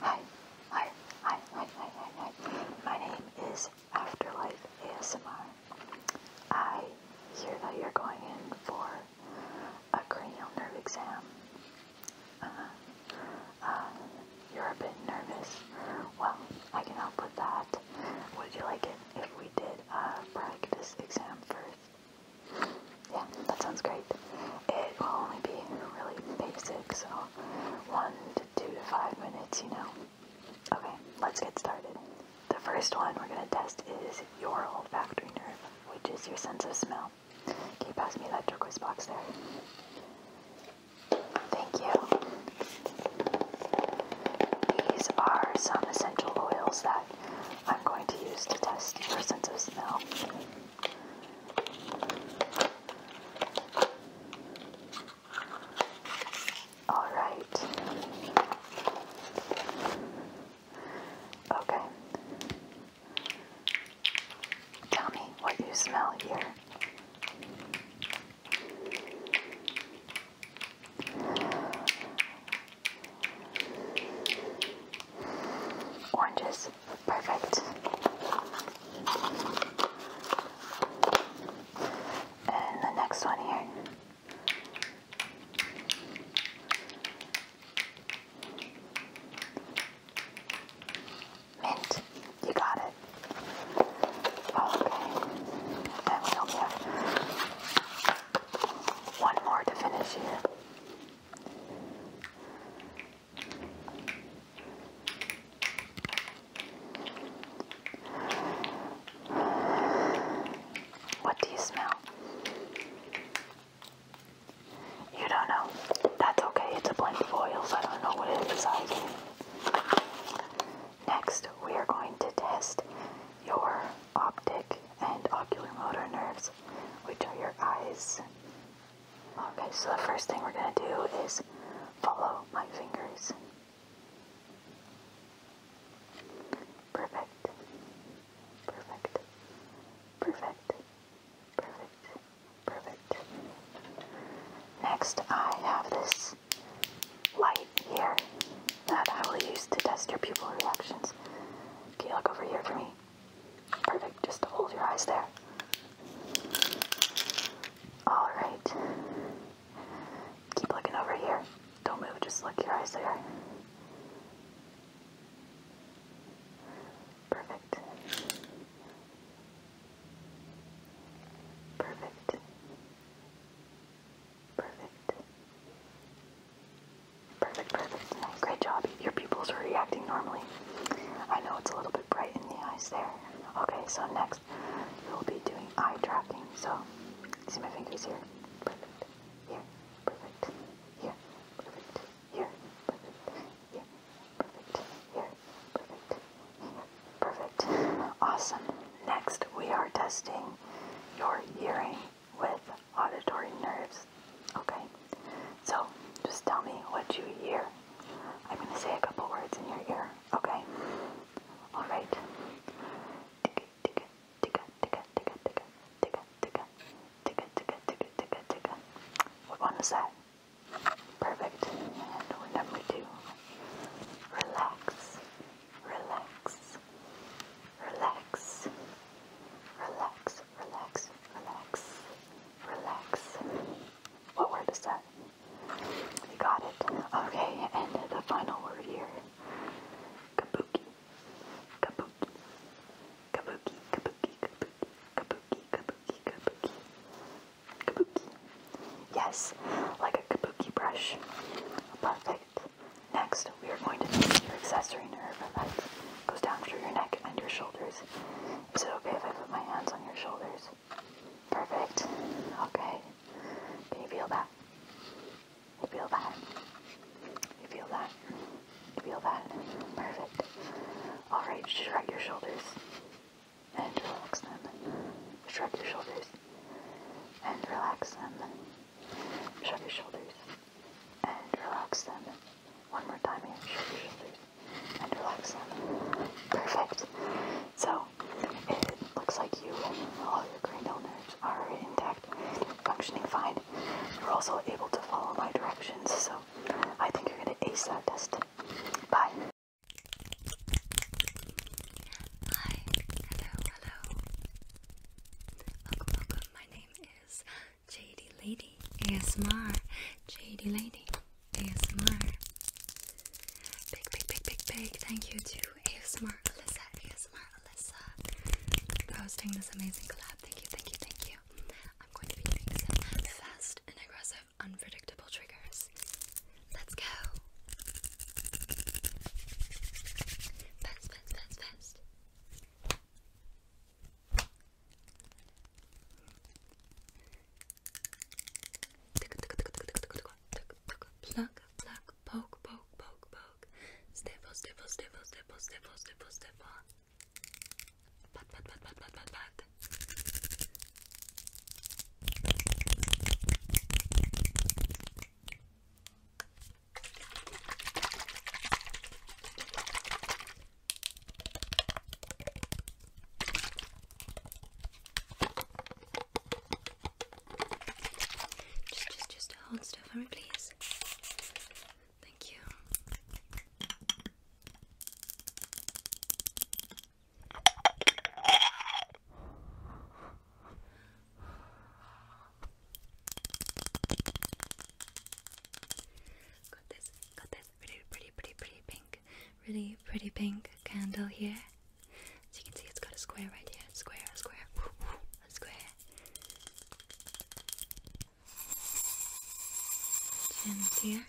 Hi, hi, hi, hi, hi, hi, hi. My name is Afterlife ASMR. I hear that you're going in for a cranial nerve exam. Uh, uh, you're a bit nervous. Well, I can help with that. Would you like it if we did a practice exam first? Yeah, that sounds great. It will only be really basic, so one two to five minutes, you know. Okay, let's get started. The first one we're going to test is your olfactory nerve, which is your sense of smell. Can you pass me that turquoise box there? Thank you. These are some essential oils that I'm going to use to test your sense of smell. All right. Okay. Tell me what you smell here. Oranges, perfect. And the next one here. Mint, you got it. Oh, okay, one more to finish here. What do you smell? You don't know. That's okay. It's a blend of oils. I don't know what it is besides. Next, we are going to test your optic and ocular motor nerves, which are your eyes. Okay, so the first thing we're going to do is Follow my fingers. Perfect. Perfect. Perfect. Perfect. Perfect. Next, I have this light here that I will use to test your pupil reactions. Can you look over here for me. Perfect. Just hold your eyes there. Alright. Keep looking over here. Don't move, just look your eyes there. Perfect. Perfect. Perfect. Perfect, perfect. Great job. Your pupils are reacting normally. I know it's a little bit bright in the eyes there. Okay, so next we'll be doing eye tracking. So, see my fingers here? Perfect. Here, perfect. Here, perfect. Here, perfect. Here, perfect. Here, perfect. Awesome. Next, we are testing your hearing with auditory nerves. Okay? So, just tell me what you hear. I'm going to say a couple words in your ear. Okay. All right. Ticka, ticka, ticka, ticka, ticka, ticka, ticka, ticka, ticka, ticka, ticka, ticka, ticka. What one is that? Perfect. number two. Relax. Relax. Relax. Relax. Relax. Relax. Relax. What word is that? We got it. Okay, and the final word here. Kabuki. Kabuki. Kabuki. Kabuki. Kabuki. Kabuki. Kabuki. Kabuki. Yes, like a kabuki brush. Perfect. Next, we are going to take your accessory nerve that goes down through your neck and your shoulders. Is it okay if I put my hands on your shoulders? Perfect. Okay. Can you feel that? feel that? feel that? feel that? Perfect. Alright, shrug your shoulders and relax them. Shrug your shoulders and relax them. Shrug your shoulders and relax them. One more time Shrug your shoulders and relax them. Perfect. So it looks like you and all your cranial nerves are intact, functioning fine. You're also able to follow my directions, so I think you're going to ace that test. Bye. Hi, hello, hello. Welcome, welcome. My name is JD Lady ASMR. JD Lady. ASMR. Big, big, big, big, big thank you to ASMR Alyssa, ASMR Alyssa for hosting this amazing collab. Thank you, thank you, thank you. I'm going to be doing some fast and aggressive, unpredictable triggers. Let's go. Fast, fast, fast, fast. Tick tick tick tick tick tick tick tick pluck pluck poke poke poke poke sniffle sniffle sniffle sniffle sniffle sniffle sniffle pat pat pat pat pat pat pat Just, just, just hold still for me, please. Thank you. Got this, got this really pretty, pretty, pretty pink, really pretty pink candle here. So you can see it's got a square right here. Square, a square, a square. Gems here.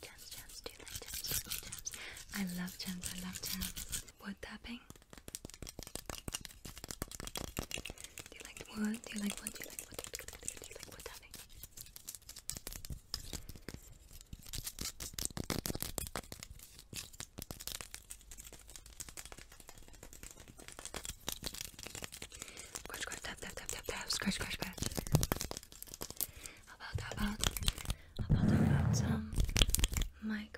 Gems, gems, do you like gems? Gems, I love gems, I love gems. Wood tapping. Do you like one? Do you like one? Do you like one? Do you like what's happening? Scratch, scratch, tap, tap, tap, tap, scratch, scratch, scratch. about, how about, about, how about some mic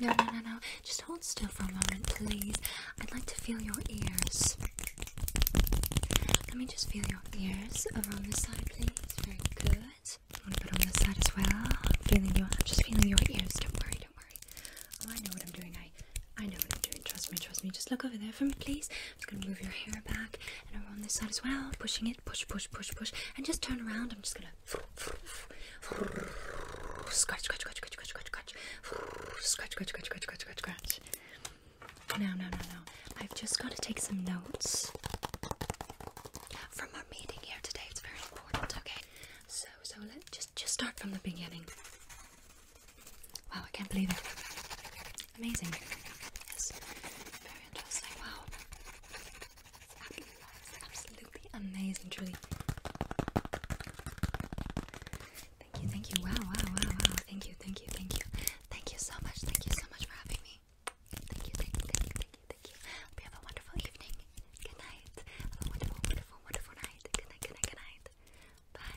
No, no, no, no. Just hold still for a moment, please. I'd like to feel your ears. Let me just feel your ears over on this side, please. Very good. A little bit on this side as well. Feeling your, I'm just feeling your ears. Don't worry, don't worry. Oh, I know what I'm doing. I, I know what I'm doing. Trust me, trust me. Just look over there for me, please. I'm just gonna move your hair back and over on this side as well. Pushing it, push, push, push, push, and just turn around. I'm just gonna scratch, scratch, scratch, scratch, scratch, scratch, scratch, scratch, scratch, scratch, scratch, scratch, scratch. No, no, no, no. I've just got to take some notes from our meeting here today. It's very important. Okay. So, so let's just just start from the beginning. Wow, I can't believe it. Amazing. Yes. Very interesting. Wow absolutely amazing, truly. Thank you, thank you. Wow, wow, wow, wow. Thank you, thank you, thank you. Thank you so much. Thank you so much for having me. Thank you, thank you, thank you, thank you, thank you. We have a wonderful evening. Good night. a wonderful, wonderful, wonderful night. Good night, good night, good night. Bye.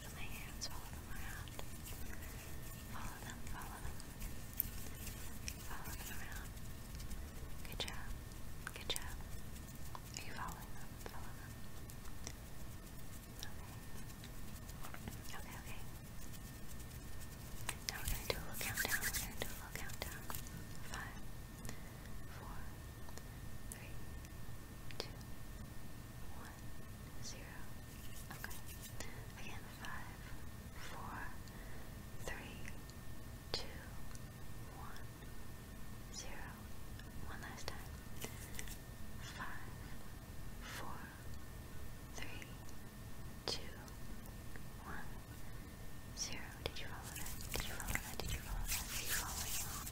follow them around. Follow them, follow them. Follow them around. Good job. Good job. Are you following them? Follow them. Okay. Okay, okay. Now we're gonna do a little countdown. We're gonna do a little countdown. Five, four, three, two, one, zero. Okay. Again, five, four, three, two, one, zero. One last time. Five, four, three, two, one, zero. Did you follow that? Did you follow that? Did you follow that? Are you following along?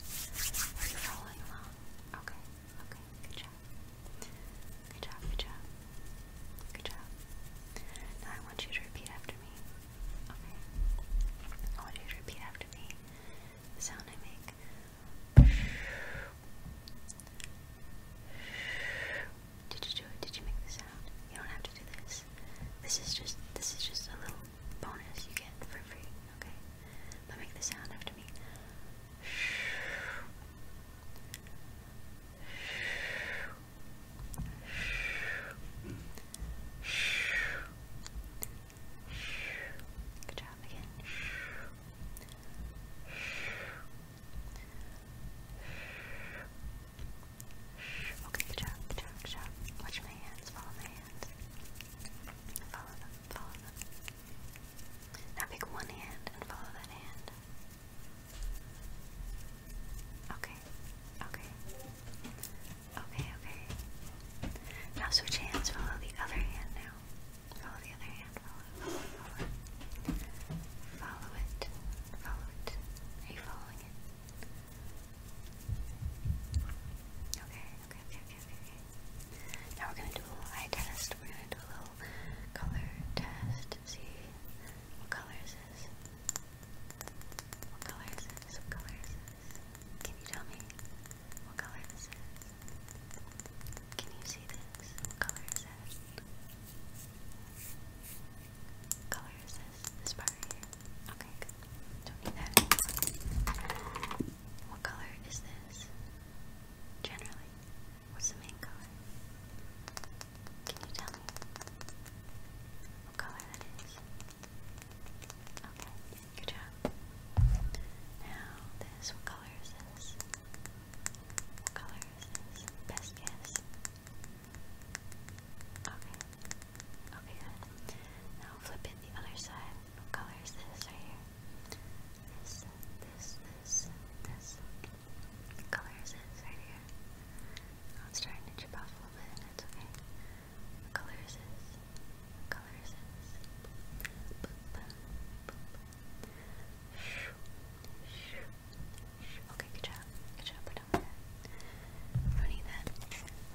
Are you following along? Okay, okay, good job. Good job, good job. Good job. Now I want you to repeat after me. Okay. I want you to repeat after me. sound I make. Did you do it? Did you make the sound? You don't have to do this. This is just this is just a little bonus you get for free, okay? But make the sound after me. Good job again. Okay, good job, good job, good job. Watch my hands, follow my hands. Follow them, follow them. Now pick one hand and follow that hand. Okay, okay. Okay, okay. Now switch hands, follow the other hand now. Follow the other hand, Follow it, follow it. Are you following it? Okay, okay, okay, now we're gonna do a eye test. We're gonna do a little color test. See what color is this? What color is this? What color is this? Can you tell me what color this is? Can you see this? What color is this? color is this? This part Okay, good. What color is this? Generally, what's the main color? Can you tell me what color that is? Okay, good job. Now, this, what color is this? What color is this? Best guess. Okay, okay, good. Now flip it the other side. What color is this right here? This, this, this, this. What color is this right here? Oh, it's starting to chip off a little bit and it's okay. What color is this? What color is this? Boop, boop, boop. Shoo, shoo, shoo. Okay, good job. Good job. We're done with that. We don't need that.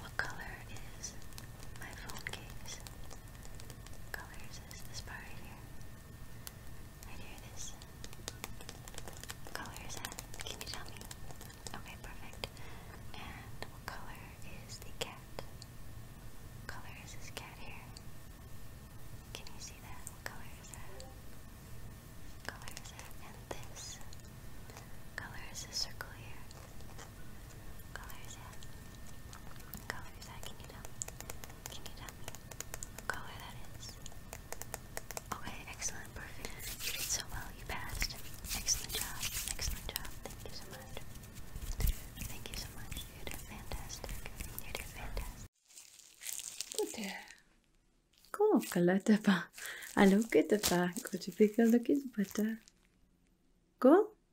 What color is my phone case? colors is this part right here. Right here it is. color is that? Can you tell me? Okay, perfect. And what color is the cat? color is this cat here? Can you see that? What color is that? color is that? And this. color is this circle here? Colors, yeah. Colors, yeah. Can you tell Can you tell me color that is? Okay, excellent, perfect. You did so well, you passed. Excellent job, excellent job. Thank you so much. Thank you so much. You did fantastic. You did fantastic. Good. Cool, I look at the back. Could you pick look at butter? Uh, cool?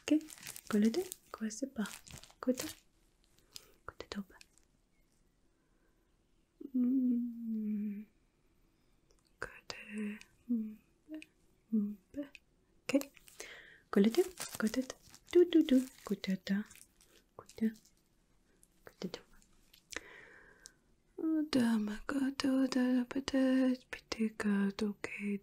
OK Collez-le, coincez pas. Côté. Côté top. Hmm. Côté. Hmm. OK Collez-le, côté. Tout, tout, tout. Côté, côté. Côté top. Dama, côté, peut-être, petit, côté,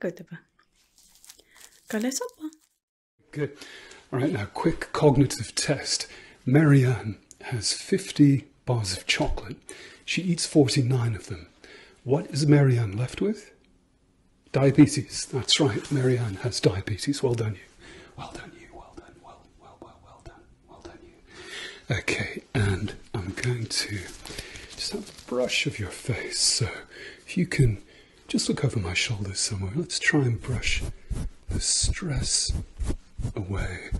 Göteborg. Kalle Good. All right, now quick cognitive test. Marianne has 50 bars of chocolate. She eats 49 of them. What is Marianne left with? Diabetes. That's right. Marianne has diabetes. Well done, you. Well done, you. Well done. well, well, well done. Well done, you. Okay, and I'm going to just have a brush of your face. So if you can just look over my shoulder somewhere, let's try and brush the stress away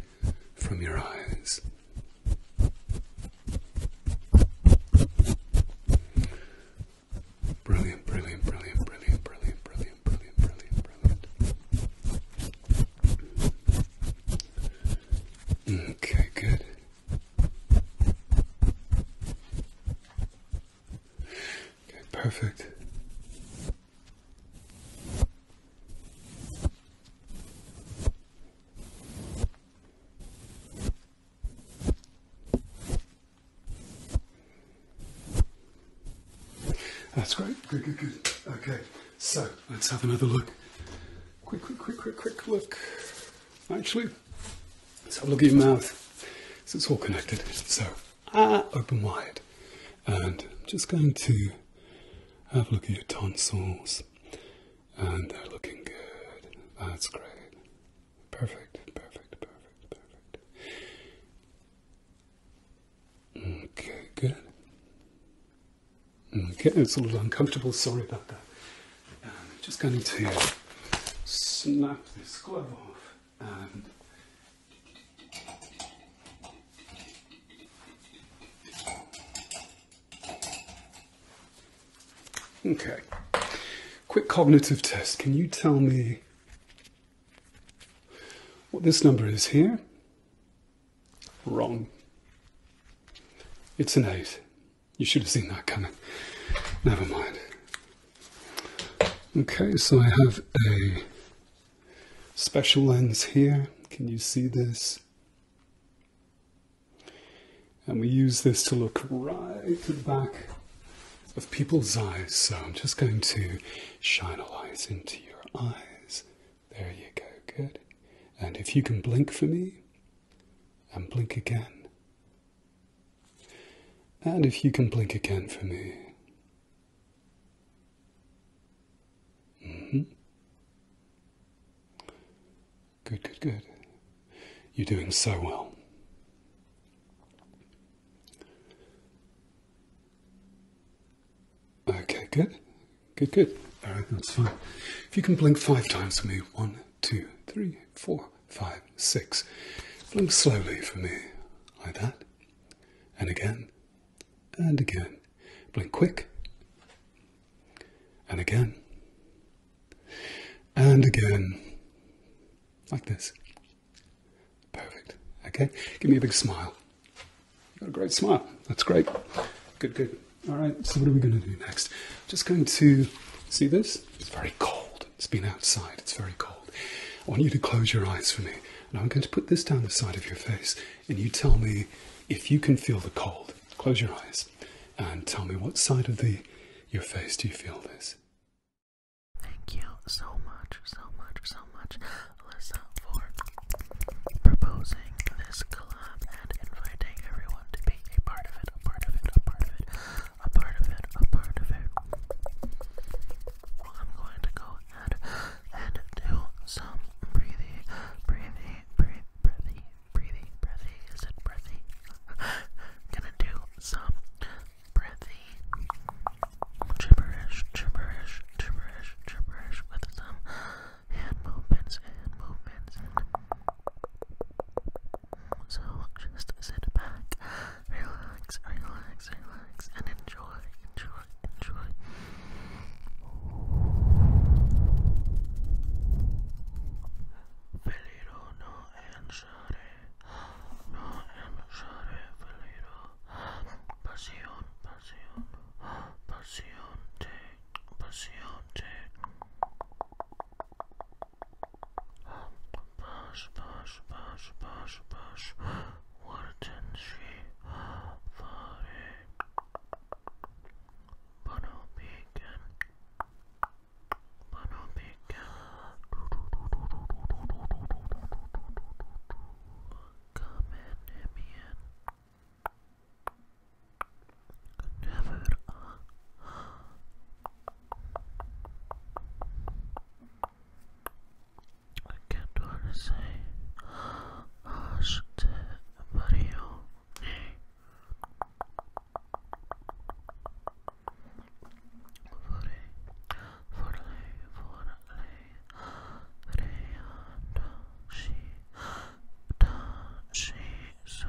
from your eyes. Brilliant, brilliant, brilliant, brilliant, brilliant, brilliant, brilliant, brilliant, brilliant. Okay, good. Okay, perfect. That's great. Good, good, good. Okay, so let's have another look. Quick, quick, quick, quick, quick look. Actually, let's have a look at your mouth. So it's all connected. So, ah, open wide. And I'm just going to have a look at your tonsils. And they're looking good. That's great. Perfect, perfect, perfect, perfect. Okay, good. Okay, it's a little uncomfortable. Sorry about that. I'm um, just going to snap this glove off um, Okay. Quick cognitive test. Can you tell me what this number is here? Wrong. It's an 8. You should have seen that coming. Never mind. Okay, so I have a special lens here. Can you see this? And we use this to look right at the back of people's eyes. So I'm just going to shine a light into your eyes. There you go, good. And if you can blink for me and blink again, and if you can blink again for me. Mm-hmm. Good, good, good. You're doing so well. Okay, good. Good, good. All right, that's fine. If you can blink five times for me. One, two, three, four, five, six. Blink slowly for me, like that. And again, and again. Blink quick. And again. And again. Like this. Perfect. Okay? Give me a big smile. You've got a great smile. That's great. Good, good. All right, so what are we going to do next? Just going to see this. It's very cold. It's been outside. It's very cold. I want you to close your eyes for me. And I'm going to put this down the side of your face. And you tell me if you can feel the cold. Close your eyes and tell me what side of the your face do you feel this? Thank you so much, so much, so much, Alyssa, for proposing this collab and inviting everyone to be a part of it, a part of it, a part of it a part of it, a part of it. I'm going to go ahead and do some breathing, breathing, breathing, breathing, breathing, breathing. Is it breathing? Gonna do some breathing, gibberish, gibberish, gibberish, gibberish with some hand movements, hand movements. So just sit back, relax, relax, relax, and enjoy, enjoy, enjoy. Feliro no enshare, no enshare, Feliro. Pasión, pasión, pasión, te, pasión, te. Bash, bash, bash, bash, bash. Warden she fare. Bono beacon. Bono beacon. Come in, Emian never I can't wanna say asked Mario for for she she so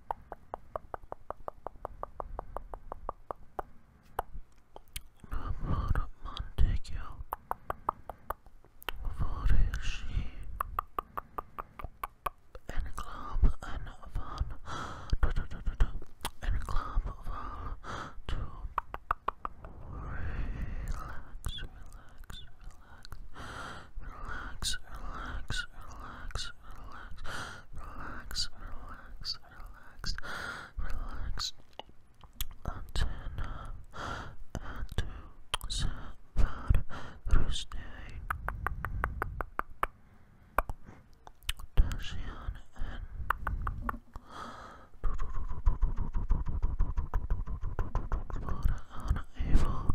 Amor Montague for a she and club and fun and club fun to relax, relax, relax, relax, relax, relax, relax, relax, relax, relax. Antenna and seven Thursday. Tashian and Flora on evil.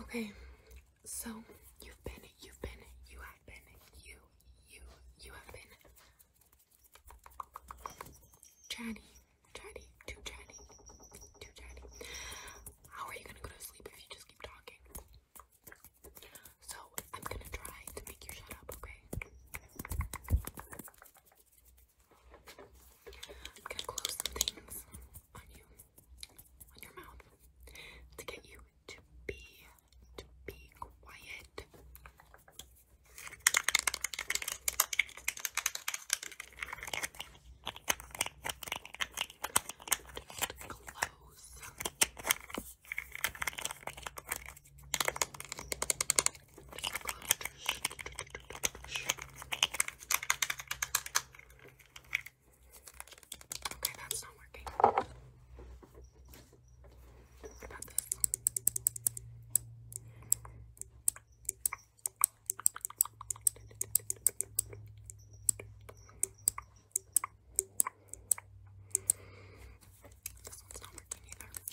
Okay, so you've been, you've been, you have been, you, you, you have been chatty, chatty, too chatty, too chatty. How are you gonna go to sleep if you just keep talking? So I'm gonna try to make you shut up, okay? I'm gonna close some things on you, on your mouth, to get you to be, to be quiet. close. Okay, that's not working. What about this? This one's not working either.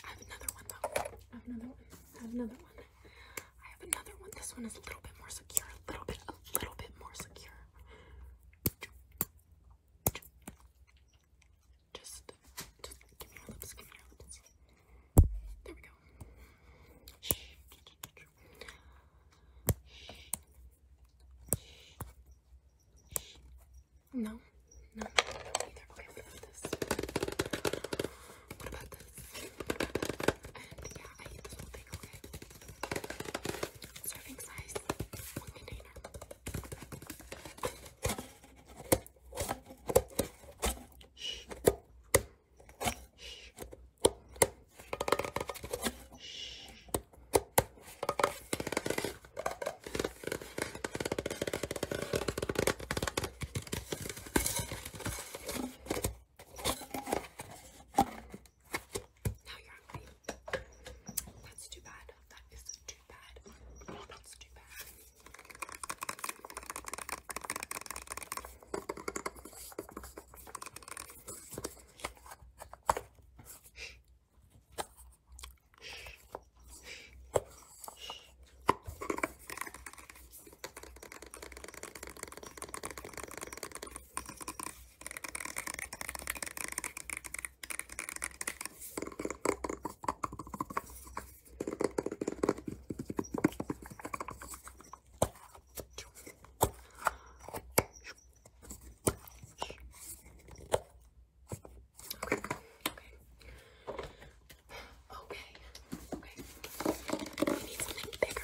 I have another one though. I have another one. I have another one. I have another one. This one is a little bit more secure. A little bit, a little bit more secure. Just, just give me your lips. Give me your lips. There we go. No, no, no what about this? And yeah, I eat this whole thing, Serving size, one container. Shh. Shh. Shh. Now you're hungry. That's too bad. That is too bad. That's too bad. Okay, okay. We need something bigger.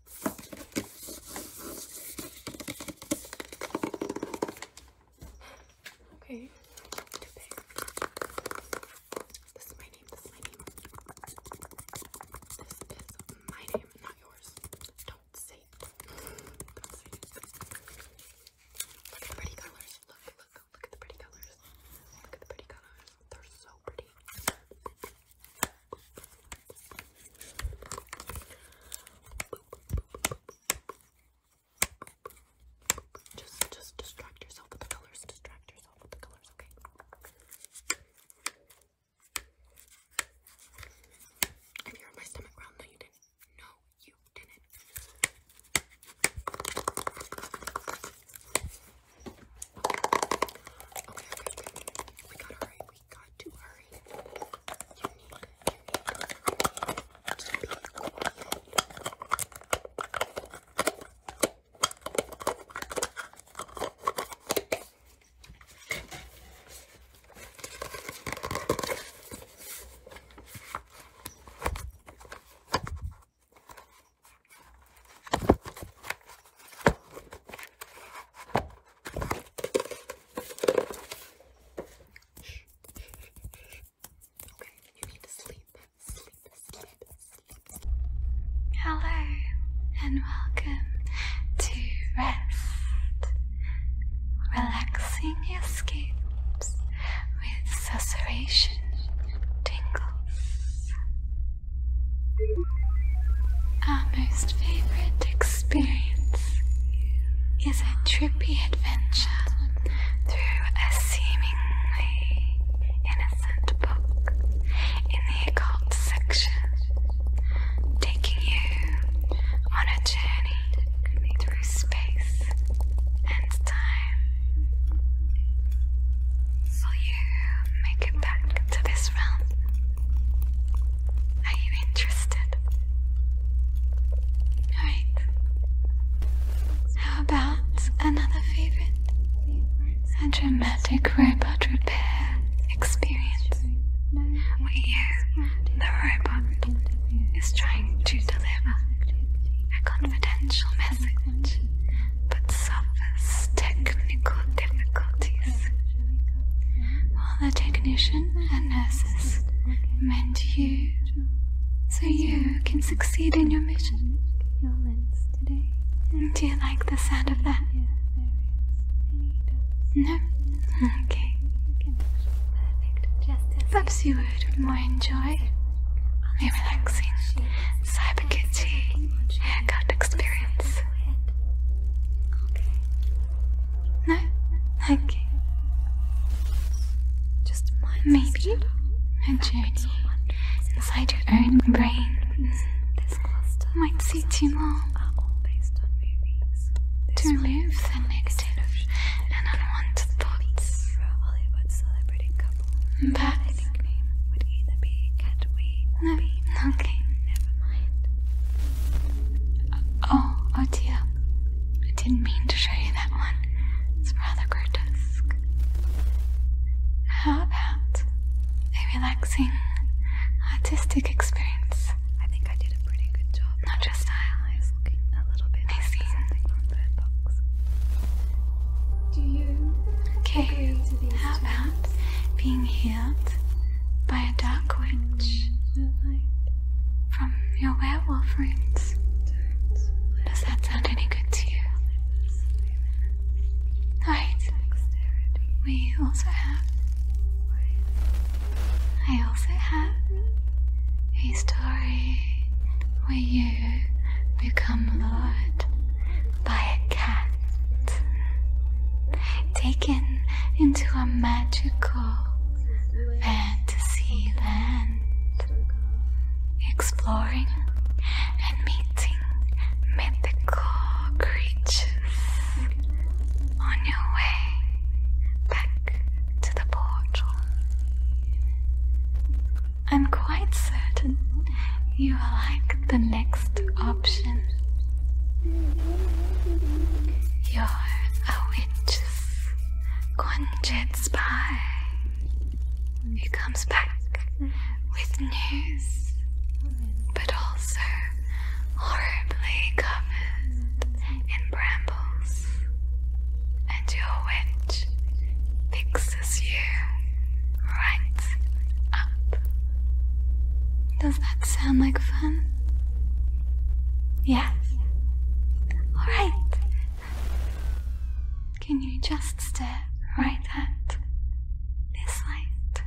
Okay, This is my name, this is my name. This is my name, not yours. Don't say Look at the pretty colors. Look, look, look at the pretty colors. Look at the pretty colors. They're so pretty. Just, just distract yourself with the colors. Distract yourself with the colors, okay? I feel my stomach ground. No, you didn't. No, you didn't. Okay, okay, We got it we got to hurry. You need, you need to be quiet. Hello, and welcome to Rest Relaxing Escapes with Susurration Tingles. Our most favorite experience is a trippy adventure through a seemingly innocent book in the occult section, taking you on a journey through space and time. Will you make it back to this realm? Are you interested? Alright. How about another favorite? A dramatic robot repair experience where the robot is trying to deliver a confidential message but suffers technical difficulties. While the technician and nurse meant you so you can succeed in your mission. Do you like the sound of that? No? Okay. Perhaps you would more enjoy a relaxing cyber haircut experience. No? Okay. Just Maybe a journey inside your own brain might suit you more to remove the negative and unwanted thoughts. But would either be Cat Wee no, okay. Never mind. Oh, oh, dear. I didn't mean to show you that one. It's rather grotesque. How about a relaxing artistic experience? I think I did a pretty good job. Not your style. I was looking a little bit I see. something from Bird Box. Do you okay, how about being healed by a dark witch? Mm, from your werewolf roots. Does that sound any good to you? Alright. We also have. I also have a story where you become lured by a cat, taken into a magical fantasy land, exploring and meeting mythical creatures on your way back to the portal. I'm quite certain you will like the next option. You're a witch conjured spy who comes back with news but also horribly covered in brambles, and your witch fixes you right up. Does that sound like fun? Yes. All right. Can you just stare right at this light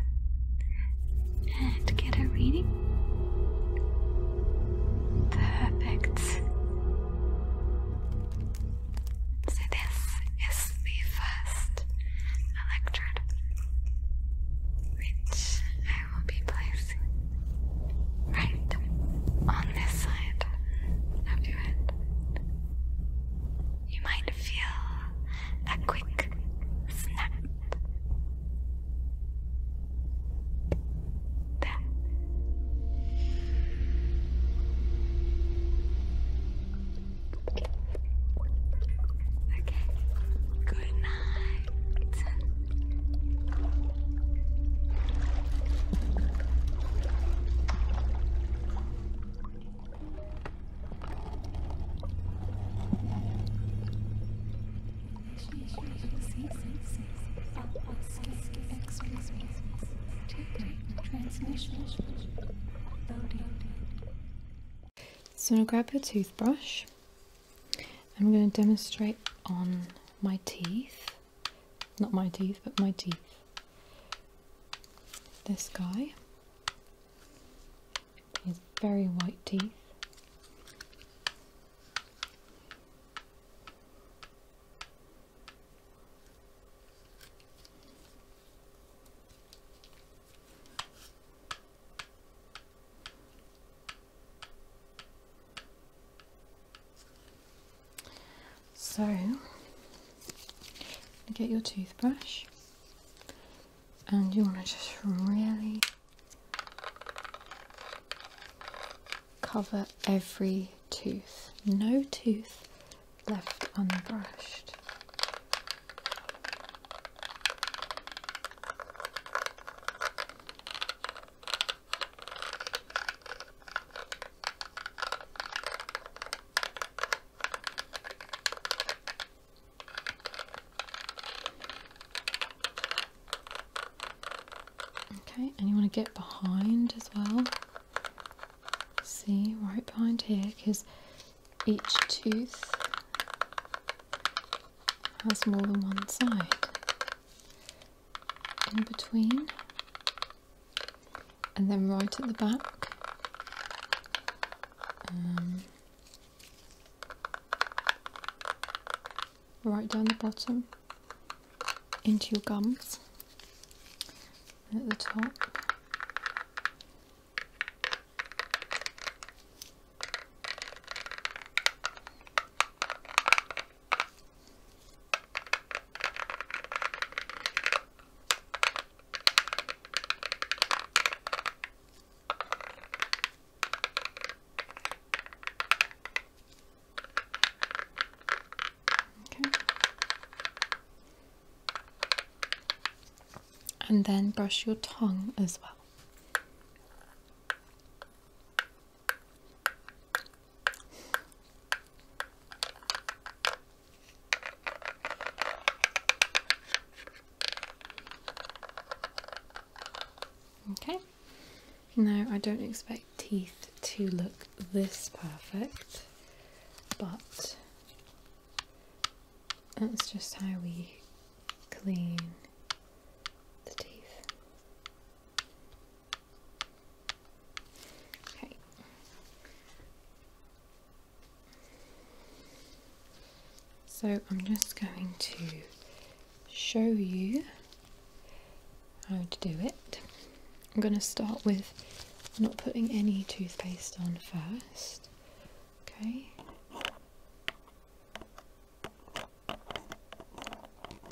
and get a reading? Perfect. So this is the first electrode, which I will be placing right on this side of your head. You might feel a quick snap. There. Okay. Good night. So, I'm going to grab your toothbrush I'm going to demonstrate on my teeth, not my teeth, but my teeth. This guy is very white teeth. So, get your toothbrush and you want to just really cover every tooth. No tooth left unbrushed. Okay, and you want to get behind as well. See, right behind here, because each tooth has more than one side in between and then right at the back um, right down the bottom into your gums at the top Okay. And then brush your tongue as well. Okay, now I don't expect teeth to look this perfect, but that's just how we clean the teeth. Okay. So I'm just going to show you how to do it. I'm going to start with not putting any toothpaste on first. Okay.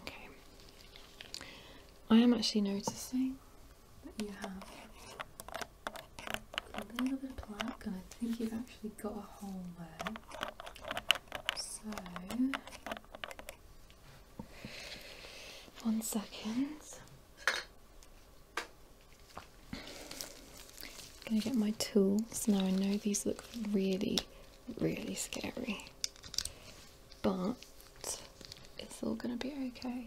Okay. I am actually noticing that you have a little bit of plaque, and I think you've actually got a hole there. So, one second i gonna get my tools. Now I know these look really, really scary, but it's all gonna be okay.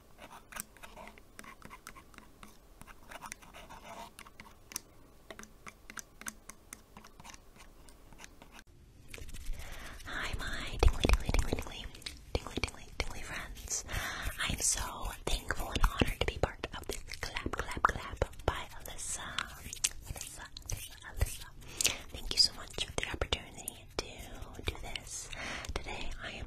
Hi, my tingly, tingly, tingly, tingly, tingly, tingly, tingly friends. I'm so thankful and honored to be part of this clap, clap, clap by Alyssa. Alyssa, Alyssa, Alyssa. Thank you so much for the opportunity to do this. Today I am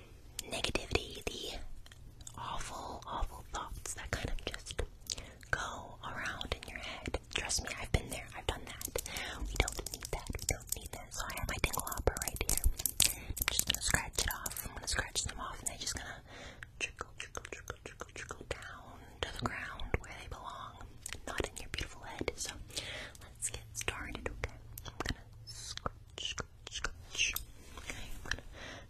negativity, the awful, awful thoughts that kind of just go around in your head. Trust me, I've been there, I've done that. We don't need that, we don't need that. So I have my tingle hopper right here. I'm just gonna scratch it off. I'm gonna scratch them off and they're just gonna trickle, trickle, trickle, trickle, trickle down to the ground where they belong. Not in your beautiful head. So let's get started, okay? I'm gonna scratch scratch. I'm gonna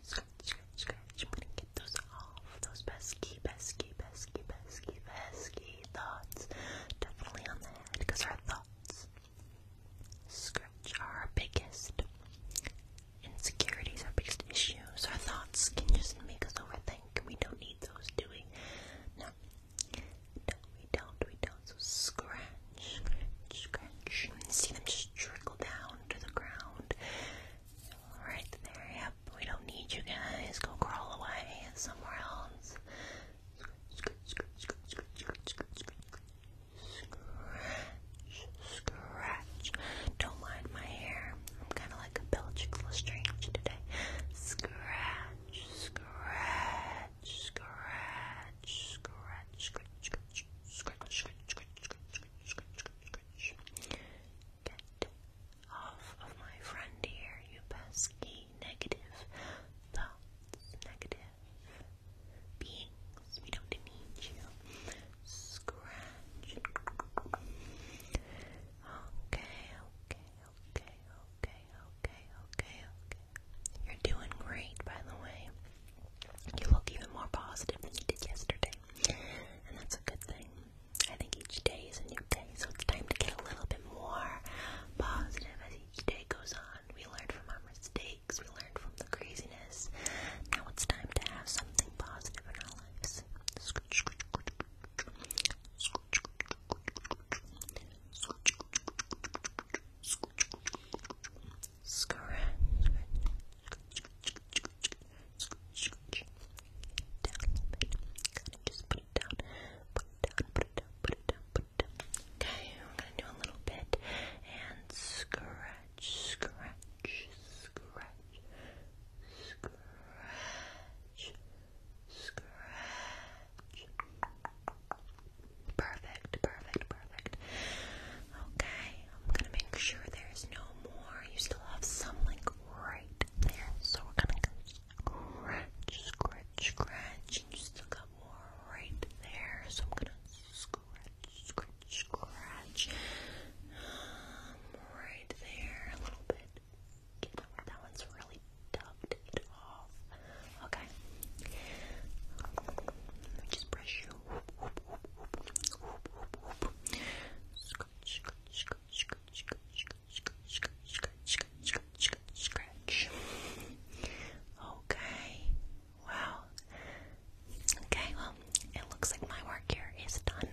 scratch, scratch, scratch. I'm gonna get those off. Those pesky, pesky, pesky, pesky, pesky thoughts. Definitely on the head, because our thoughts scratch are our biggest insecurities, our biggest issues. Our thoughts can just make us overthink. We don't need those, do we? No, we don't, we don't, so scratch, scratch, scratch. And see them just trickle down to the ground. Right there, yep. We don't need you guys. Go crawl away somewhere else. Scratch, scratch, scratch, scratch, scratch, scratch, scratch, scratch. Don't mind my hair. I'm kind of like a Bellatrix Lestrange today. Scratch, scratch, scratch, scratch, scratch, scratch, scratch, Get off of my friend here, you pesky negative thoughts, negative beings. We don't need you. Scratch. okay, okay, okay, okay, okay, okay, you're doing great, by the way. You look even more positive than you did yesterday, and that's a good thing. I think each day is a new day, so it's time to get a little bit more positive as each day goes on. We learn from our mistakes, we learn from the craziness. Now it's time to have something positive in our lives. Scratch. Down a little bit. Gotta just put Okay, we're gonna do a little bit and scratch, scratch, scratch, scratch, scratch. Perfect, perfect, perfect. Okay, I'm gonna make sure there's no more. You still have some like right there. So we're gonna scratch, scratch, scratch, you still got more right there. So I'm gonna scratch, scratch, scratch. Um, right there, a little bit. that, one's really tugged it off. Okay. Let just brush you. Scratch, Okay. Wow. Okay, well, it looks like my work here is done.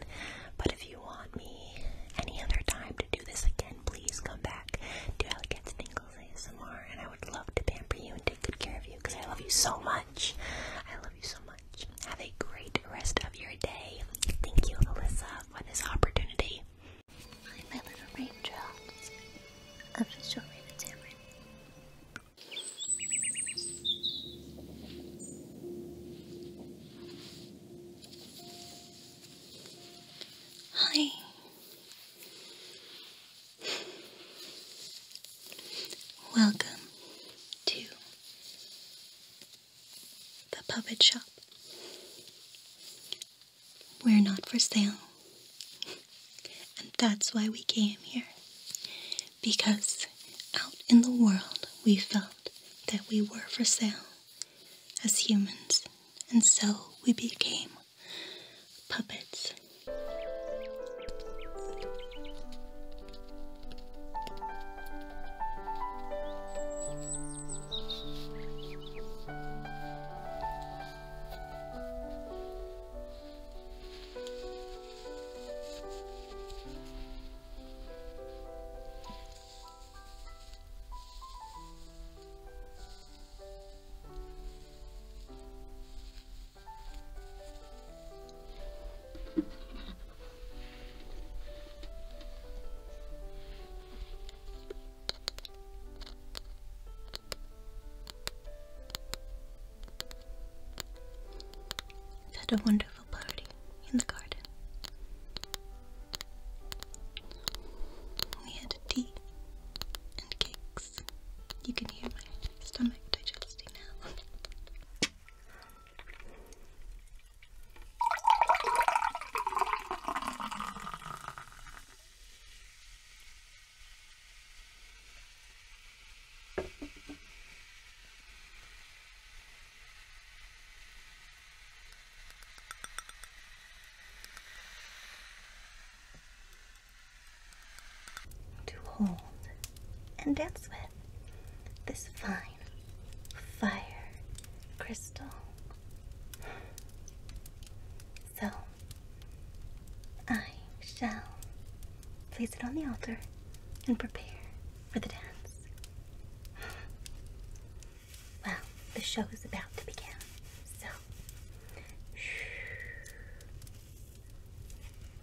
But if you want me any other time to do this again, please come back to Elegance and ASMR, and I would love to pamper you and take good care of you because I love you so much. I love you so much. Have a great rest of your day. Thank you, Alyssa, for this opportunity. Hi. Welcome to the puppet shop. We're not for sale. And that's why we came here. Because out in the world, we felt that we were for sale as humans, and so we became puppets we had a wonderful party in the garden. We had tea and cake you can hear my stomach digesting now to hold and dance with this fine fire crystal. So I shall place it on the altar and prepare for the dance. Well, the show is about to begin, so.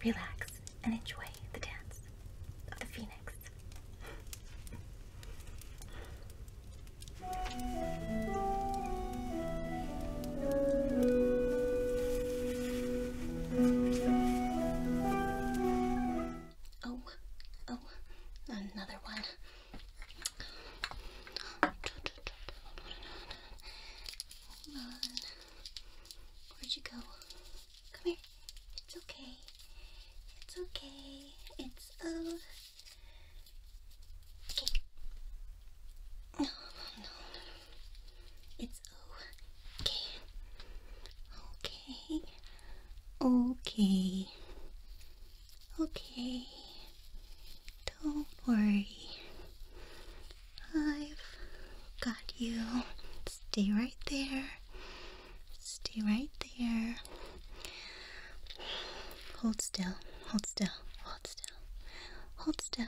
Relax and enjoy the dance of the phoenix. Oh, oh, another one. Where'd you go? Come here. It's okay. It's okay. It's oh. Okay. No, no, no, no. It's okay. Okay. Okay. Okay. Don't worry. I've got you. Stay right there. Stay right there. Hold still. Hold still. Hold still. Hold still.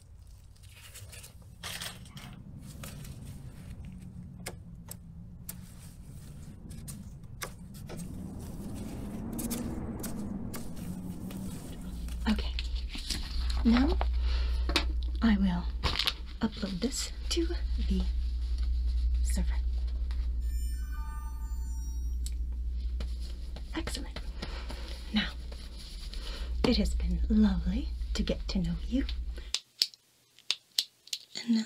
Okay, now I will upload this to the server. Excellent. Now, it has been lovely to get to know you. And now,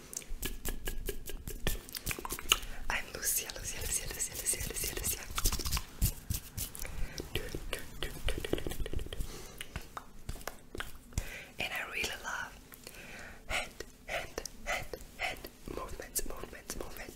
I'm Lucia, Lucia, Lucia, Lucia, Lucia, Lucia, Lucia. And I really love hand, hand, hand, hand movements, movements, movements.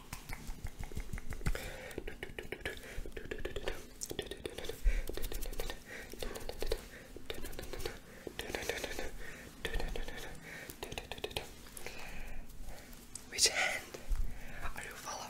Which hand are you following?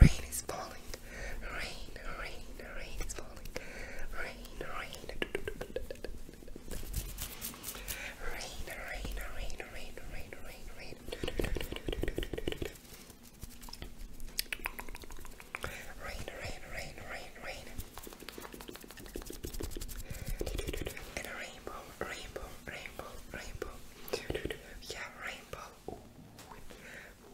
Rain is falling. Rain, rain, rain is falling. Rain rain, rain, rain, rain, rain, rain, rain, rain, rain. Rain, rain, rain, rain, rain. And a rainbow, rainbow, rainbow, rainbow. Yeah, rainbow. Ooh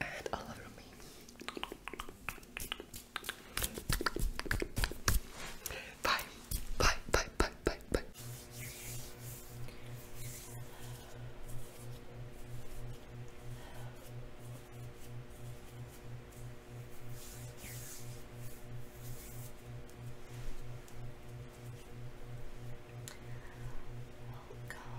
and all over me. Bye, bye, bye, bye, bye, bye. Welcome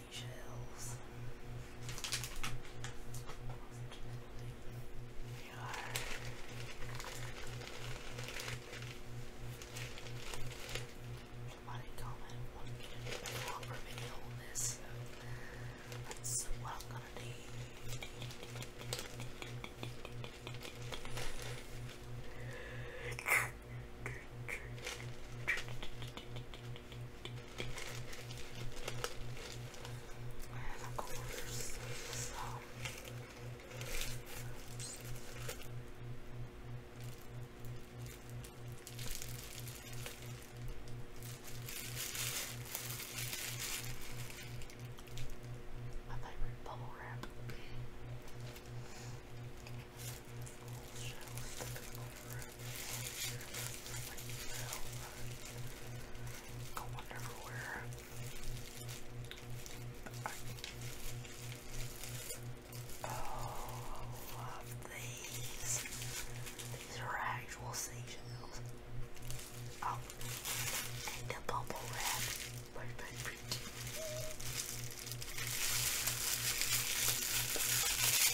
seashells. Here are. Somebody comment what can help reveal this. That's to and I'll go over some my favorite bubble wrap. Show the bubble wrap. I wonder oh, I love these. These are actual seashells. Oh, and the bubble wrap. But, but,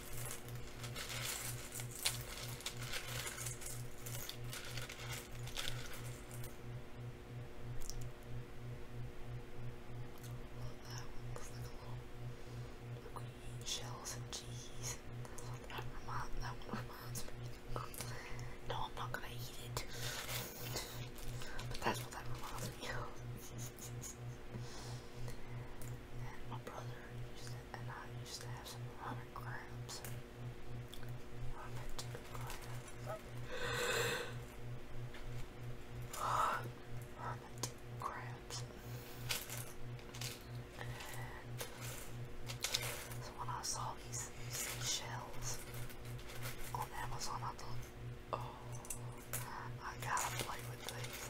that looks like a little green shells and cheese. That, remind, that one reminds me. No, I'm not gonna eat it. But that's what that reminds me of and my brother used to, and I used to have some hermit crabs. Hermit crabs. And when I saw these, shells on Amazon, I thought, oh, I gotta play with these.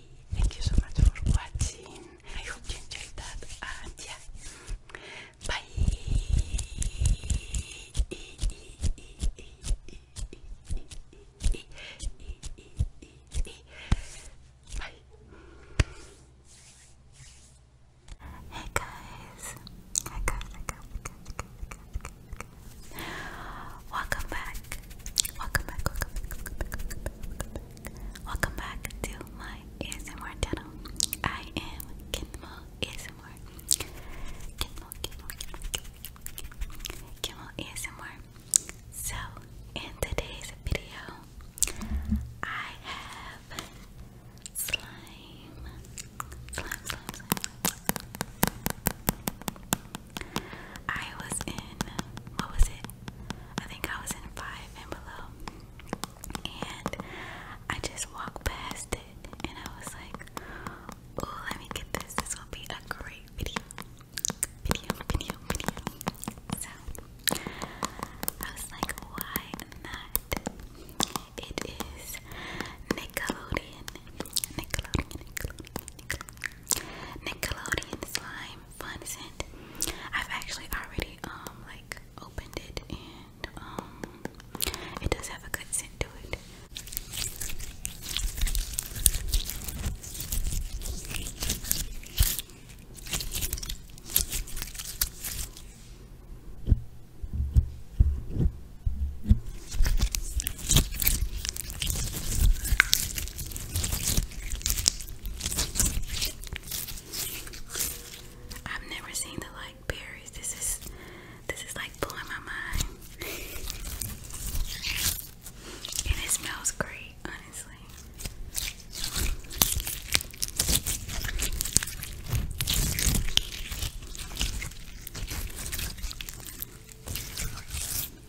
thank you so much for watching. I hope you enjoyed that. And yeah, bye. Bye. Hey guys, hey guys, hey guys, hey guys, hey guys, hey guys. Welcome back. Welcome back. Welcome back. to my ASMR channel. I am Kinmo ASMR. Kinmo, Kinmo, Kinmo, Kinmo ASMR. So, in today's video, I have slime. I was in what was it? I think I was in five and below, and I just walked past it, and I was like, "Oh, let me get this. This will be a great video, video, video, video." So I was like, "Why not?" It is Nickelodeon, Nickelodeon, Nickelodeon, Nickelodeon, slime fun scent. I've actually already um like opened it and um it does have a good scent to it. I've never seen the like berries. This is this is like blowing my mind. and it smells great, honestly.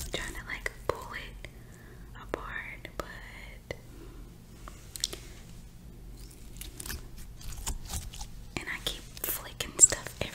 I'm trying to like pull it apart, but and I keep flicking stuff everywhere.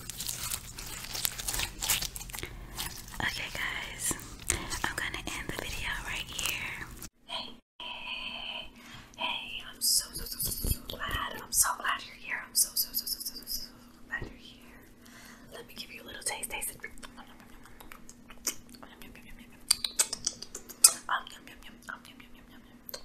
Okay, guys, I'm gonna end the video right here. Hey, hey, hey, I'm so, so, so, so, so glad. I'm so glad you're here. I'm so, so, so, so, so, so, glad you're here. Let me give you a little taste, taste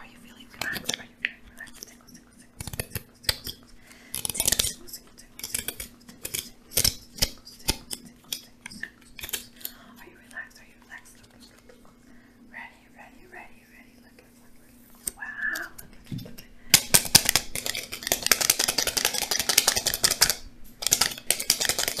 Are you feeling relaxed? Are you feeling relaxed? Tingles, tingles, tingles, tingles, tingles, tingles, Are you relaxed? Are you relaxed? Ready, ready, ready, ready. Look at look. Wow, look at look at Look at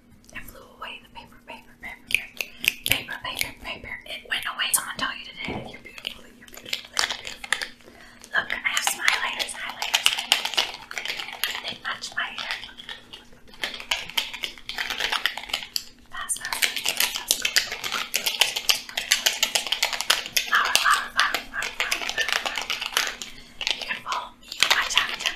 and flew away. The paper, paper, paper, paper, paper, paper. It went away. Someone told you today. You're beautiful. You're beautiful. You're beautiful. Look, I have some highlighters, highlighters. They match my hair. Fast, fast, fast, fast. Flower, flower, flower, flower, flower, flower, flower. You can follow me. Watch out, watch out.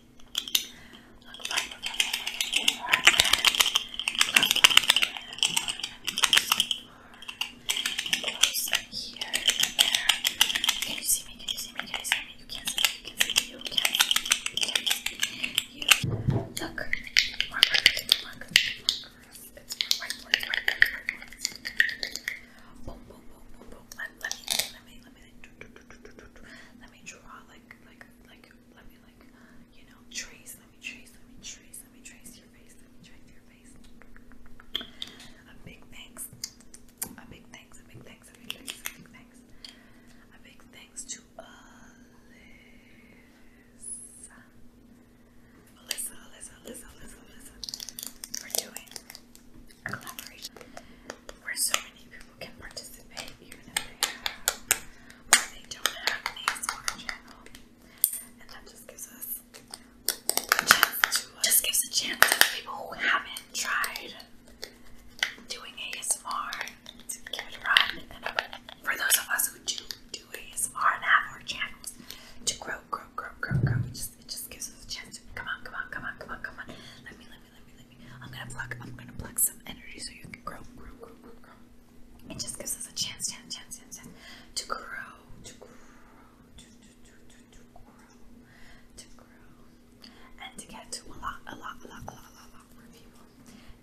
Can you see me? Can you see me? Can you see me? You can't see me. You can see me. You can't see me. You can't see me. You look. Marker. It's markers. It's markers. It's markers. Boom, boom, boom, boom, boom. Let, let me, let me, let me, let me, let me draw like, like like let me like you know trace let me trace let me trace let me trace your face let me trace your face a big thanks a big thanks a big thanks a big thanks a big thanks a big thanks to Alyssa Alyssa Alyssa Alyssa Alyssa Alyssa for doing collaboration where so many people can participate even if they have or they don't have an ASMR channel. And that just gives us just gives a chance to people who haven't tried doing ASMR to give it a run. for those of us who do do ASMR and have our channels to grow, grow, grow, grow, grow, it just, it just gives us a chance come on, come on, come on, come on, come on. Let me, let let me, let me, I'm gonna pluck, I'm gonna pluck some energy so you can grow, grow, grow, grow, grow. It just gives us a chance, chance, chance, chance, chance to grow, to grow, to, to, to, to, grow, to grow, and to get to a lot, a lot, a lot, a lot, a lot, more people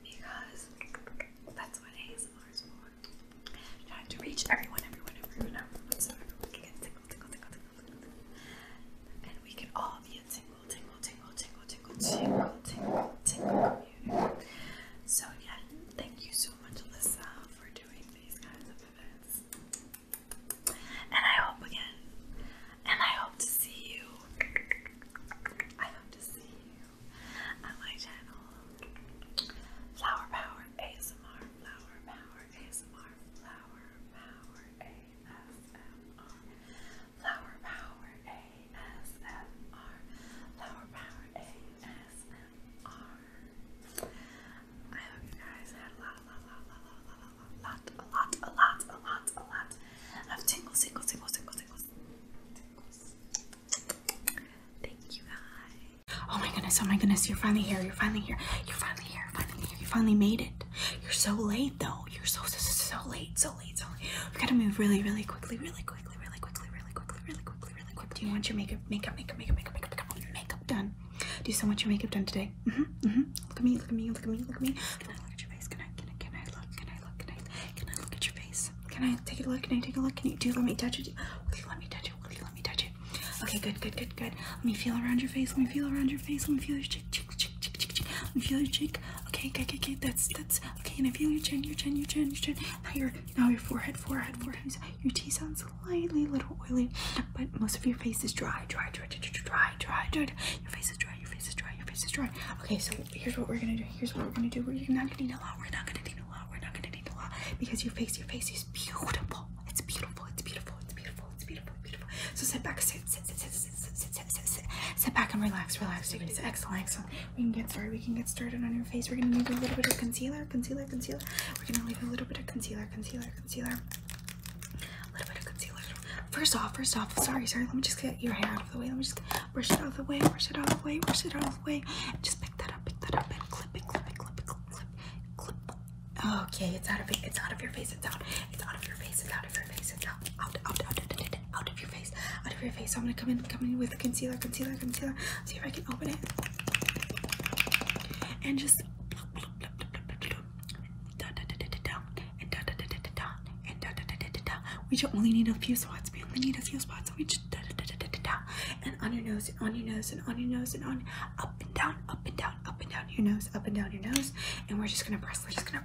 because that's what ASMR is for. Trying to reach everyone, everyone, everyone, everyone, so everyone can get tingle, tingle, tingle, tingle, tingle, and we can all be a so yeah, thank you so much, Alyssa, for doing these kinds of events. And I hope again, and I hope to see you. I hope to see you on my channel. Flower Power ASMR, Flower Power ASMR, Flower Power ASMR. Flower Power ASMR. Flower Power ASMR. hope you guys had a lot, a lot, a lot, a lot, a lot, a lot, a lot, a lot, a lot of tingles, tingles, tingles, tingles, tingles. Thank you guys. Oh my goodness, oh my goodness, you're finally here, you're finally here, you're finally here, finally here, you finally made it. You're so late late though. You're so, so, so late, so late, so late. We gotta move really, really quickly, really quickly, really quickly, really quickly, really quickly, really quickly. Do you want your makeup, makeup, makeup, makeup, makeup, makeup, makeup, makeup done? Do you still want your makeup done today? Mm-hmm, mm-hmm. Look at me, look at me, look at me, look at me. Can I look at your face? Can I, can I, can I look? Can I look? Can I, can I look at your face? Can I take a look? Can I take a look? Can you, do you let me touch it? Will you let me touch it? Will you let me touch it? Okay, good, good, good, good. Let me feel around your face. Let me feel around your face. Let me feel your cheek, cheek, cheek cheek, cheek, cheek, cheek. Let me feel your cheek. Okay, okay, okay, okay. That's that's okay. And I feel your chin, your chin, your chin, your chin. Now your now your forehead, forehead, forehead. Your T sounds slightly a little oily, but most of your face is dry, dry, dry, dry, dry, dry, dry. Your face is dry. Your face is dry. Your face is dry. Okay, so here's what we're gonna do. Here's what we're gonna do. We're not gonna need a lot. We're not gonna need a lot. We're not gonna need a lot because your face, your face is beautiful. It's beautiful. It's beautiful. It's beautiful. It's beautiful. Beautiful. So sit back. Sit. Sit. Sit. Sit. sit sit, sit, sit, sit, sit, sit. sit back and relax, relax. Take it. Excellent, excellent. We can get started. We can get started on your face. We're gonna need a little bit of concealer, concealer, concealer. We're gonna leave a little bit of concealer, concealer, concealer. A little bit of concealer. First off, first off, sorry, sorry. Let me just get your hair out of the way. Let me just brush it out of the way, brush it out of the way, brush it out of the way. Just pick that up, pick that up, and clip it, clip it, clip it, clip, clip, clip. Okay, it's out of it. It's out of your face. It's out. It's out of your face. It's out of your face. It's out. Out, out, out, out, out, out out of your face, out of your face. So I'm gonna come in, come in with concealer, concealer, concealer. See if I can open it and just we just only need a few spots. We only need a few spots. So we just and on your nose, and on your nose, and on your nose, and on up and down, up and down, up and down your nose, up and down your nose. And we're just gonna press. We're just gonna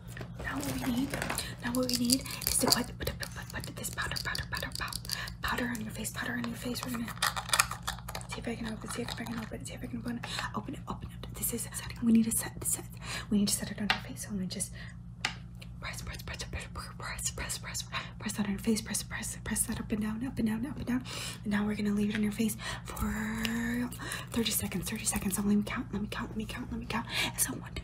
Now what we need, now what we need is to put, put, put, put this powder, powder, powder, powder, powder on your face, powder on your face. We're gonna see if I can open, see if I can open, see if I can open, open it, open it. This is setting. We need to set, set. We need to set it on your face. So I'm gonna just press, press, press, press, press, press, press, press that on your face, press, press, press that up and down, up and down, up and down. And now we're gonna leave it on your face for 30 seconds, 30 seconds. So let me count, let me count, let me count, let me count. So one, two,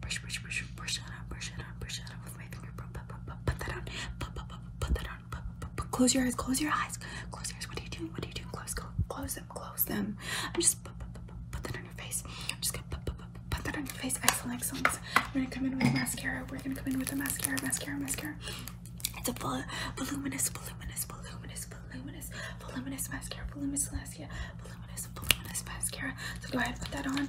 Brush, brush, brush, brush that out, brush that out, brush that out with my finger. Put, put, put, put, put that on, put, put, put, put that on. Put, put, put. Close your eyes, close your eyes, close your eyes. What are you doing? What are you doing? Close, close, close them, close them. I'm just put, put, put, put that on your face. I'm just gonna put, put, put, put that on your face. Excellent, excellent. We're gonna come in with mascara. We're gonna come in with a mascara, mascara, mascara. It's a vol voluminous, voluminous, voluminous, voluminous, voluminous mascara, voluminous mascara, voluminous, voluminous mascara. So go ahead, put that on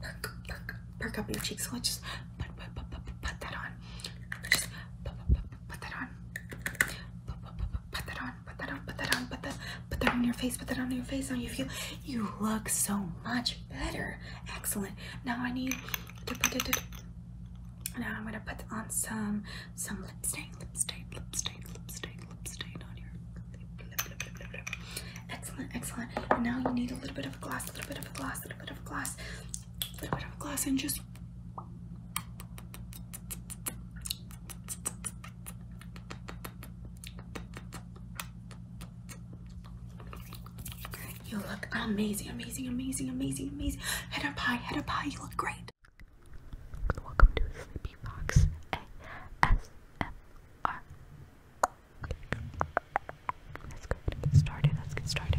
perk, perk, perk, perk up your cheeks. So let's just put, put, put, put, put that on. Just put, put, put, put that on. Put, put, put, put, put that on. Put that on. Put that on. Put that. Put that on your face. Put that on your face. Now you feel you look so much better. Excellent. Now I need to put it. Now I'm gonna put on some some lip stain, lip stain, lip stain, lip stain, lip stain on your lip, lip, lip, lip, lip. Excellent, excellent. And now you need a little bit of a glass, a little bit of a glass, a little bit of a glass, a little bit of a glass, and just you look amazing, amazing, amazing, amazing, amazing. Head up high, head up high, you look great. Welcome to Sleepy Fox Let's go ahead and get started. Let's get started.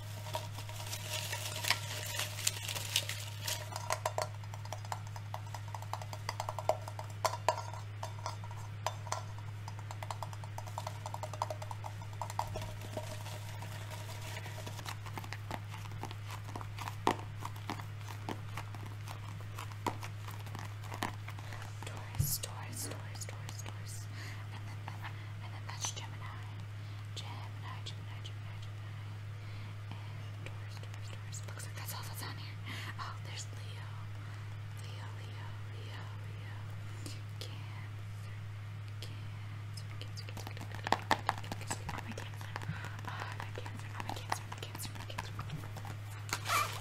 Taurus, Taurus, Taurus, Taurus, Taurus, and then and then that's Gemini. Gemini, Gemini, Gemini, Gemini, and Taurus, Taurus, Taurus. Looks like that's all that's on here. Oh, there's Leo, Leo, Leo, Leo, Leo. Cancer, Cancer, Cancer, Cancer, Cancer. Oh my Cancer. Oh my Cancer. Oh my Cancer. My Cancer. My Cancer.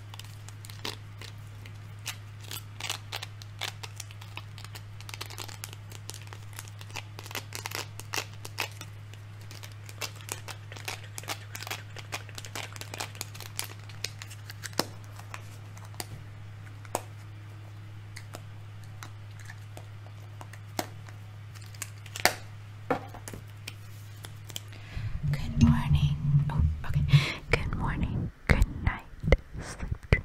Good morning. Oh, okay. Good morning. Good night, sleep drink.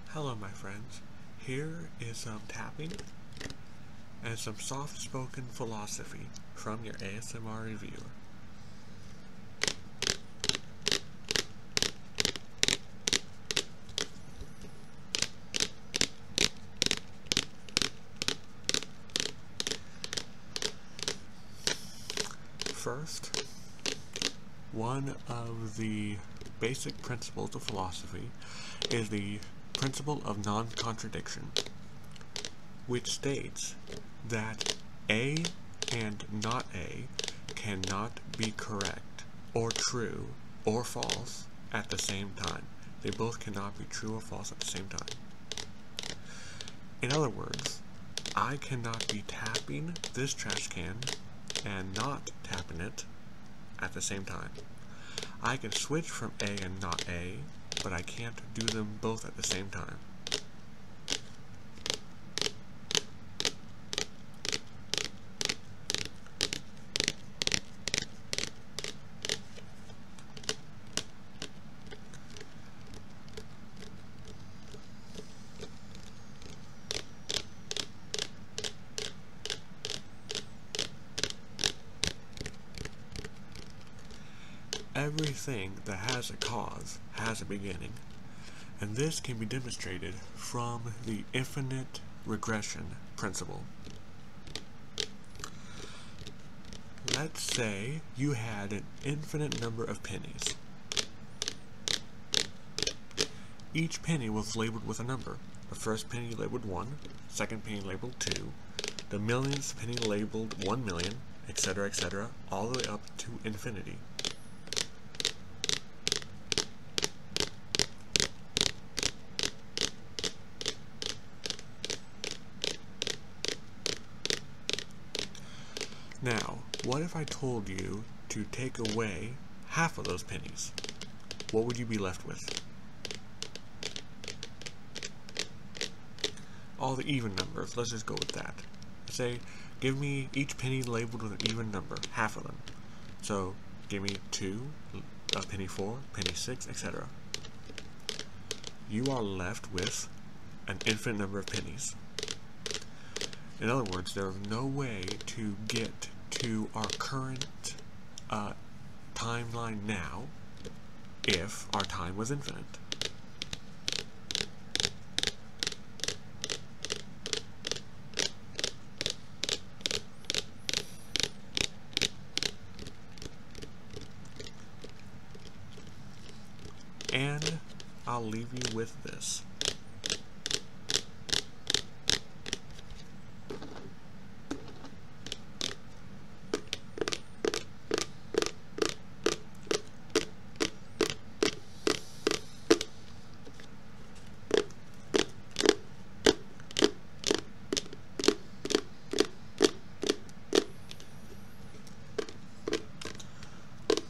Hello my friends, here is some tapping and some soft-spoken philosophy from your ASMR reviewer. First, one of the basic principles of philosophy is the principle of non-contradiction, which states that A and not A cannot be correct or true or false at the same time. They both cannot be true or false at the same time. In other words, I cannot be tapping this trash can and not tapping it at the same time. I can switch from A and not A, but I can't do them both at the same time. Everything that has a cause has a beginning, and this can be demonstrated from the infinite regression principle. Let's say you had an infinite number of pennies. Each penny was labeled with a number. The first penny labeled 1, second penny labeled 2, the millions penny labeled 1 million, etc., etc., all the way up to infinity. Now, what if I told you to take away half of those pennies, what would you be left with? All the even numbers, let's just go with that. Say, give me each penny labeled with an even number, half of them. So, give me 2, a penny 4, penny 6, etc. You are left with an infinite number of pennies. In other words, there is no way to get to our current uh, timeline now if our time was infinite. And I'll leave you with this.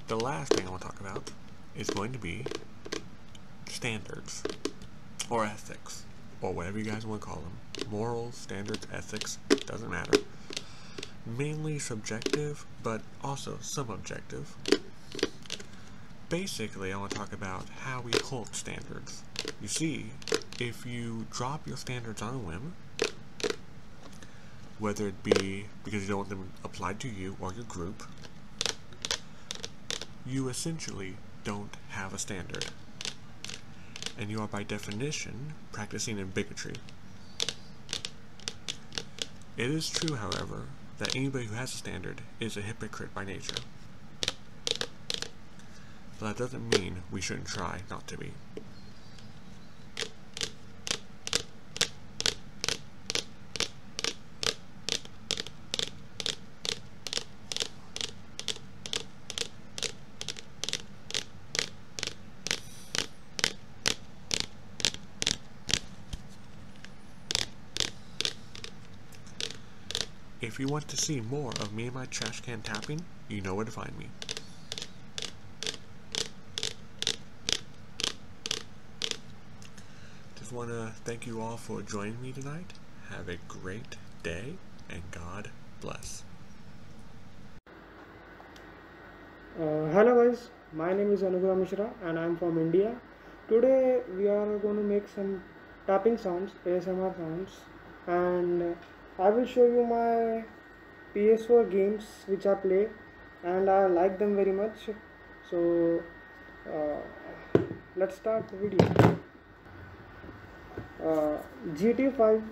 The last thing I want to talk about is going to be standards or ethics or whatever you guys want to call them. Morals, standards, ethics, doesn't matter. Mainly subjective, but also some objective. Basically, I want to talk about how we hold standards. You see, if you drop your standards on a whim, whether it be because you don't want them applied to you or your group, you essentially don't have a standard. And you are by definition practicing in bigotry. It is true, however, that anybody who has a standard is a hypocrite by nature. But that doesn't mean we shouldn't try not to be. If you want to see more of me and my trash can tapping, you know where to find me. Just want to thank you all for joining me tonight. Have a great day, and God bless. Uh, hello guys, my name is Anugam Mishra and I am from India. Today we are going to make some tapping sounds, ASMR sounds and I will show you my PS4 games which I play and I like them very much. So uh, let's start the video uh, GTA 5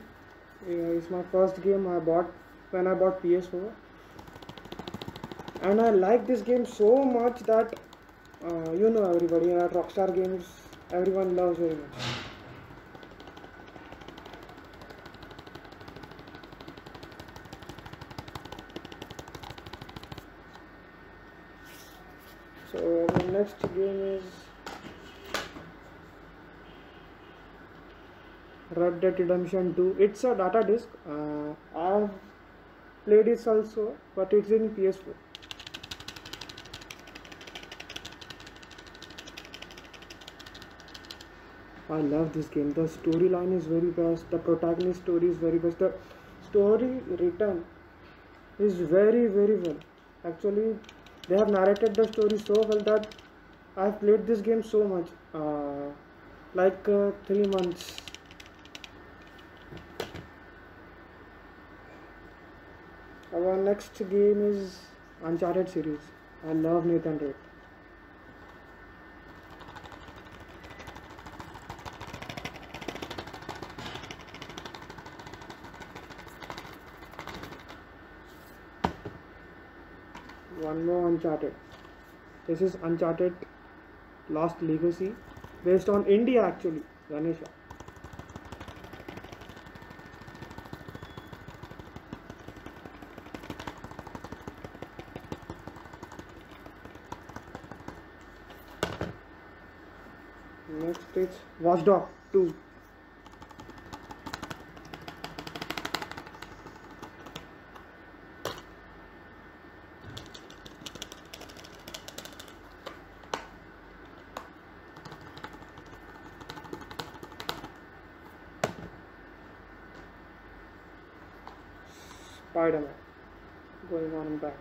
is my first game I bought when I bought PS4 and I like this game so much that uh, you know everybody at uh, Rockstar Games everyone loves very much so the next game is Red Dead Redemption 2 it's a data disk uh, i played it also but it's in PS4 I love this game. The storyline is very best. The protagonist story is very best. The story written is very very well actually they have narrated the story so well that I have played this game so much like uh, 3 months our next game is Uncharted series I love Nathan Drake one more uncharted this is uncharted last legacy based on india actually ganesha next is watchdog 2 Spider-Man going on and back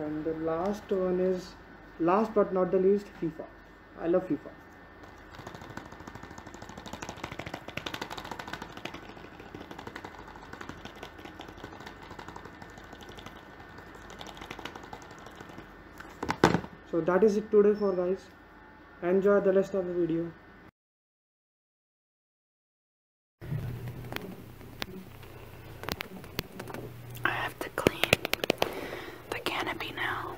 and the last one is last but not the least FIFA I love FIFA. So that is it today for guys. Enjoy the rest of the video. I have to clean the canopy now.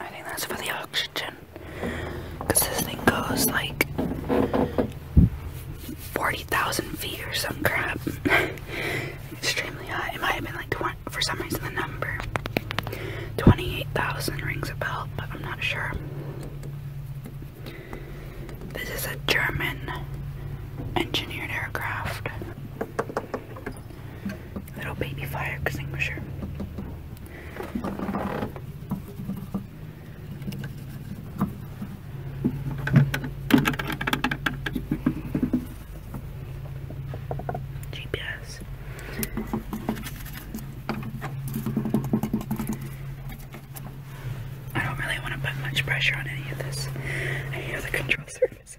I think that's for the oxygen. Because this thing goes like 40,000 feet or some crap. Extremely hot. It might have been like 20, for some reason the number 28,000 rings a bell, but I'm not sure. This is a German engineered aircraft. Little baby fire extinguisher. GPS. I don't really want to put much pressure on any of this, any of the control surfaces.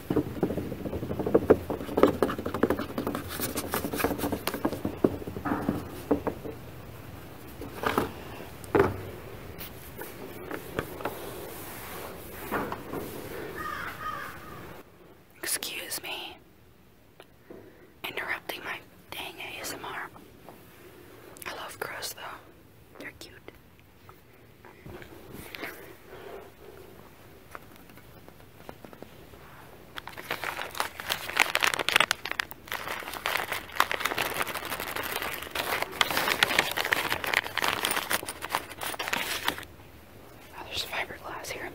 Excuse me. Interrupting my dang ASMR. I love crows though. They're cute. Oh, there's fiberglass here.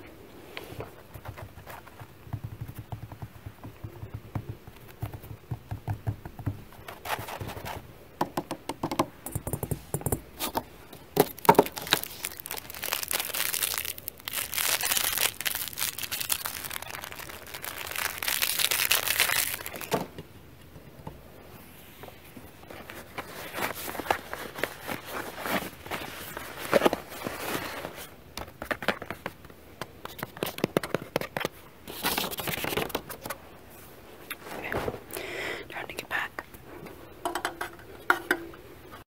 Trying to get back.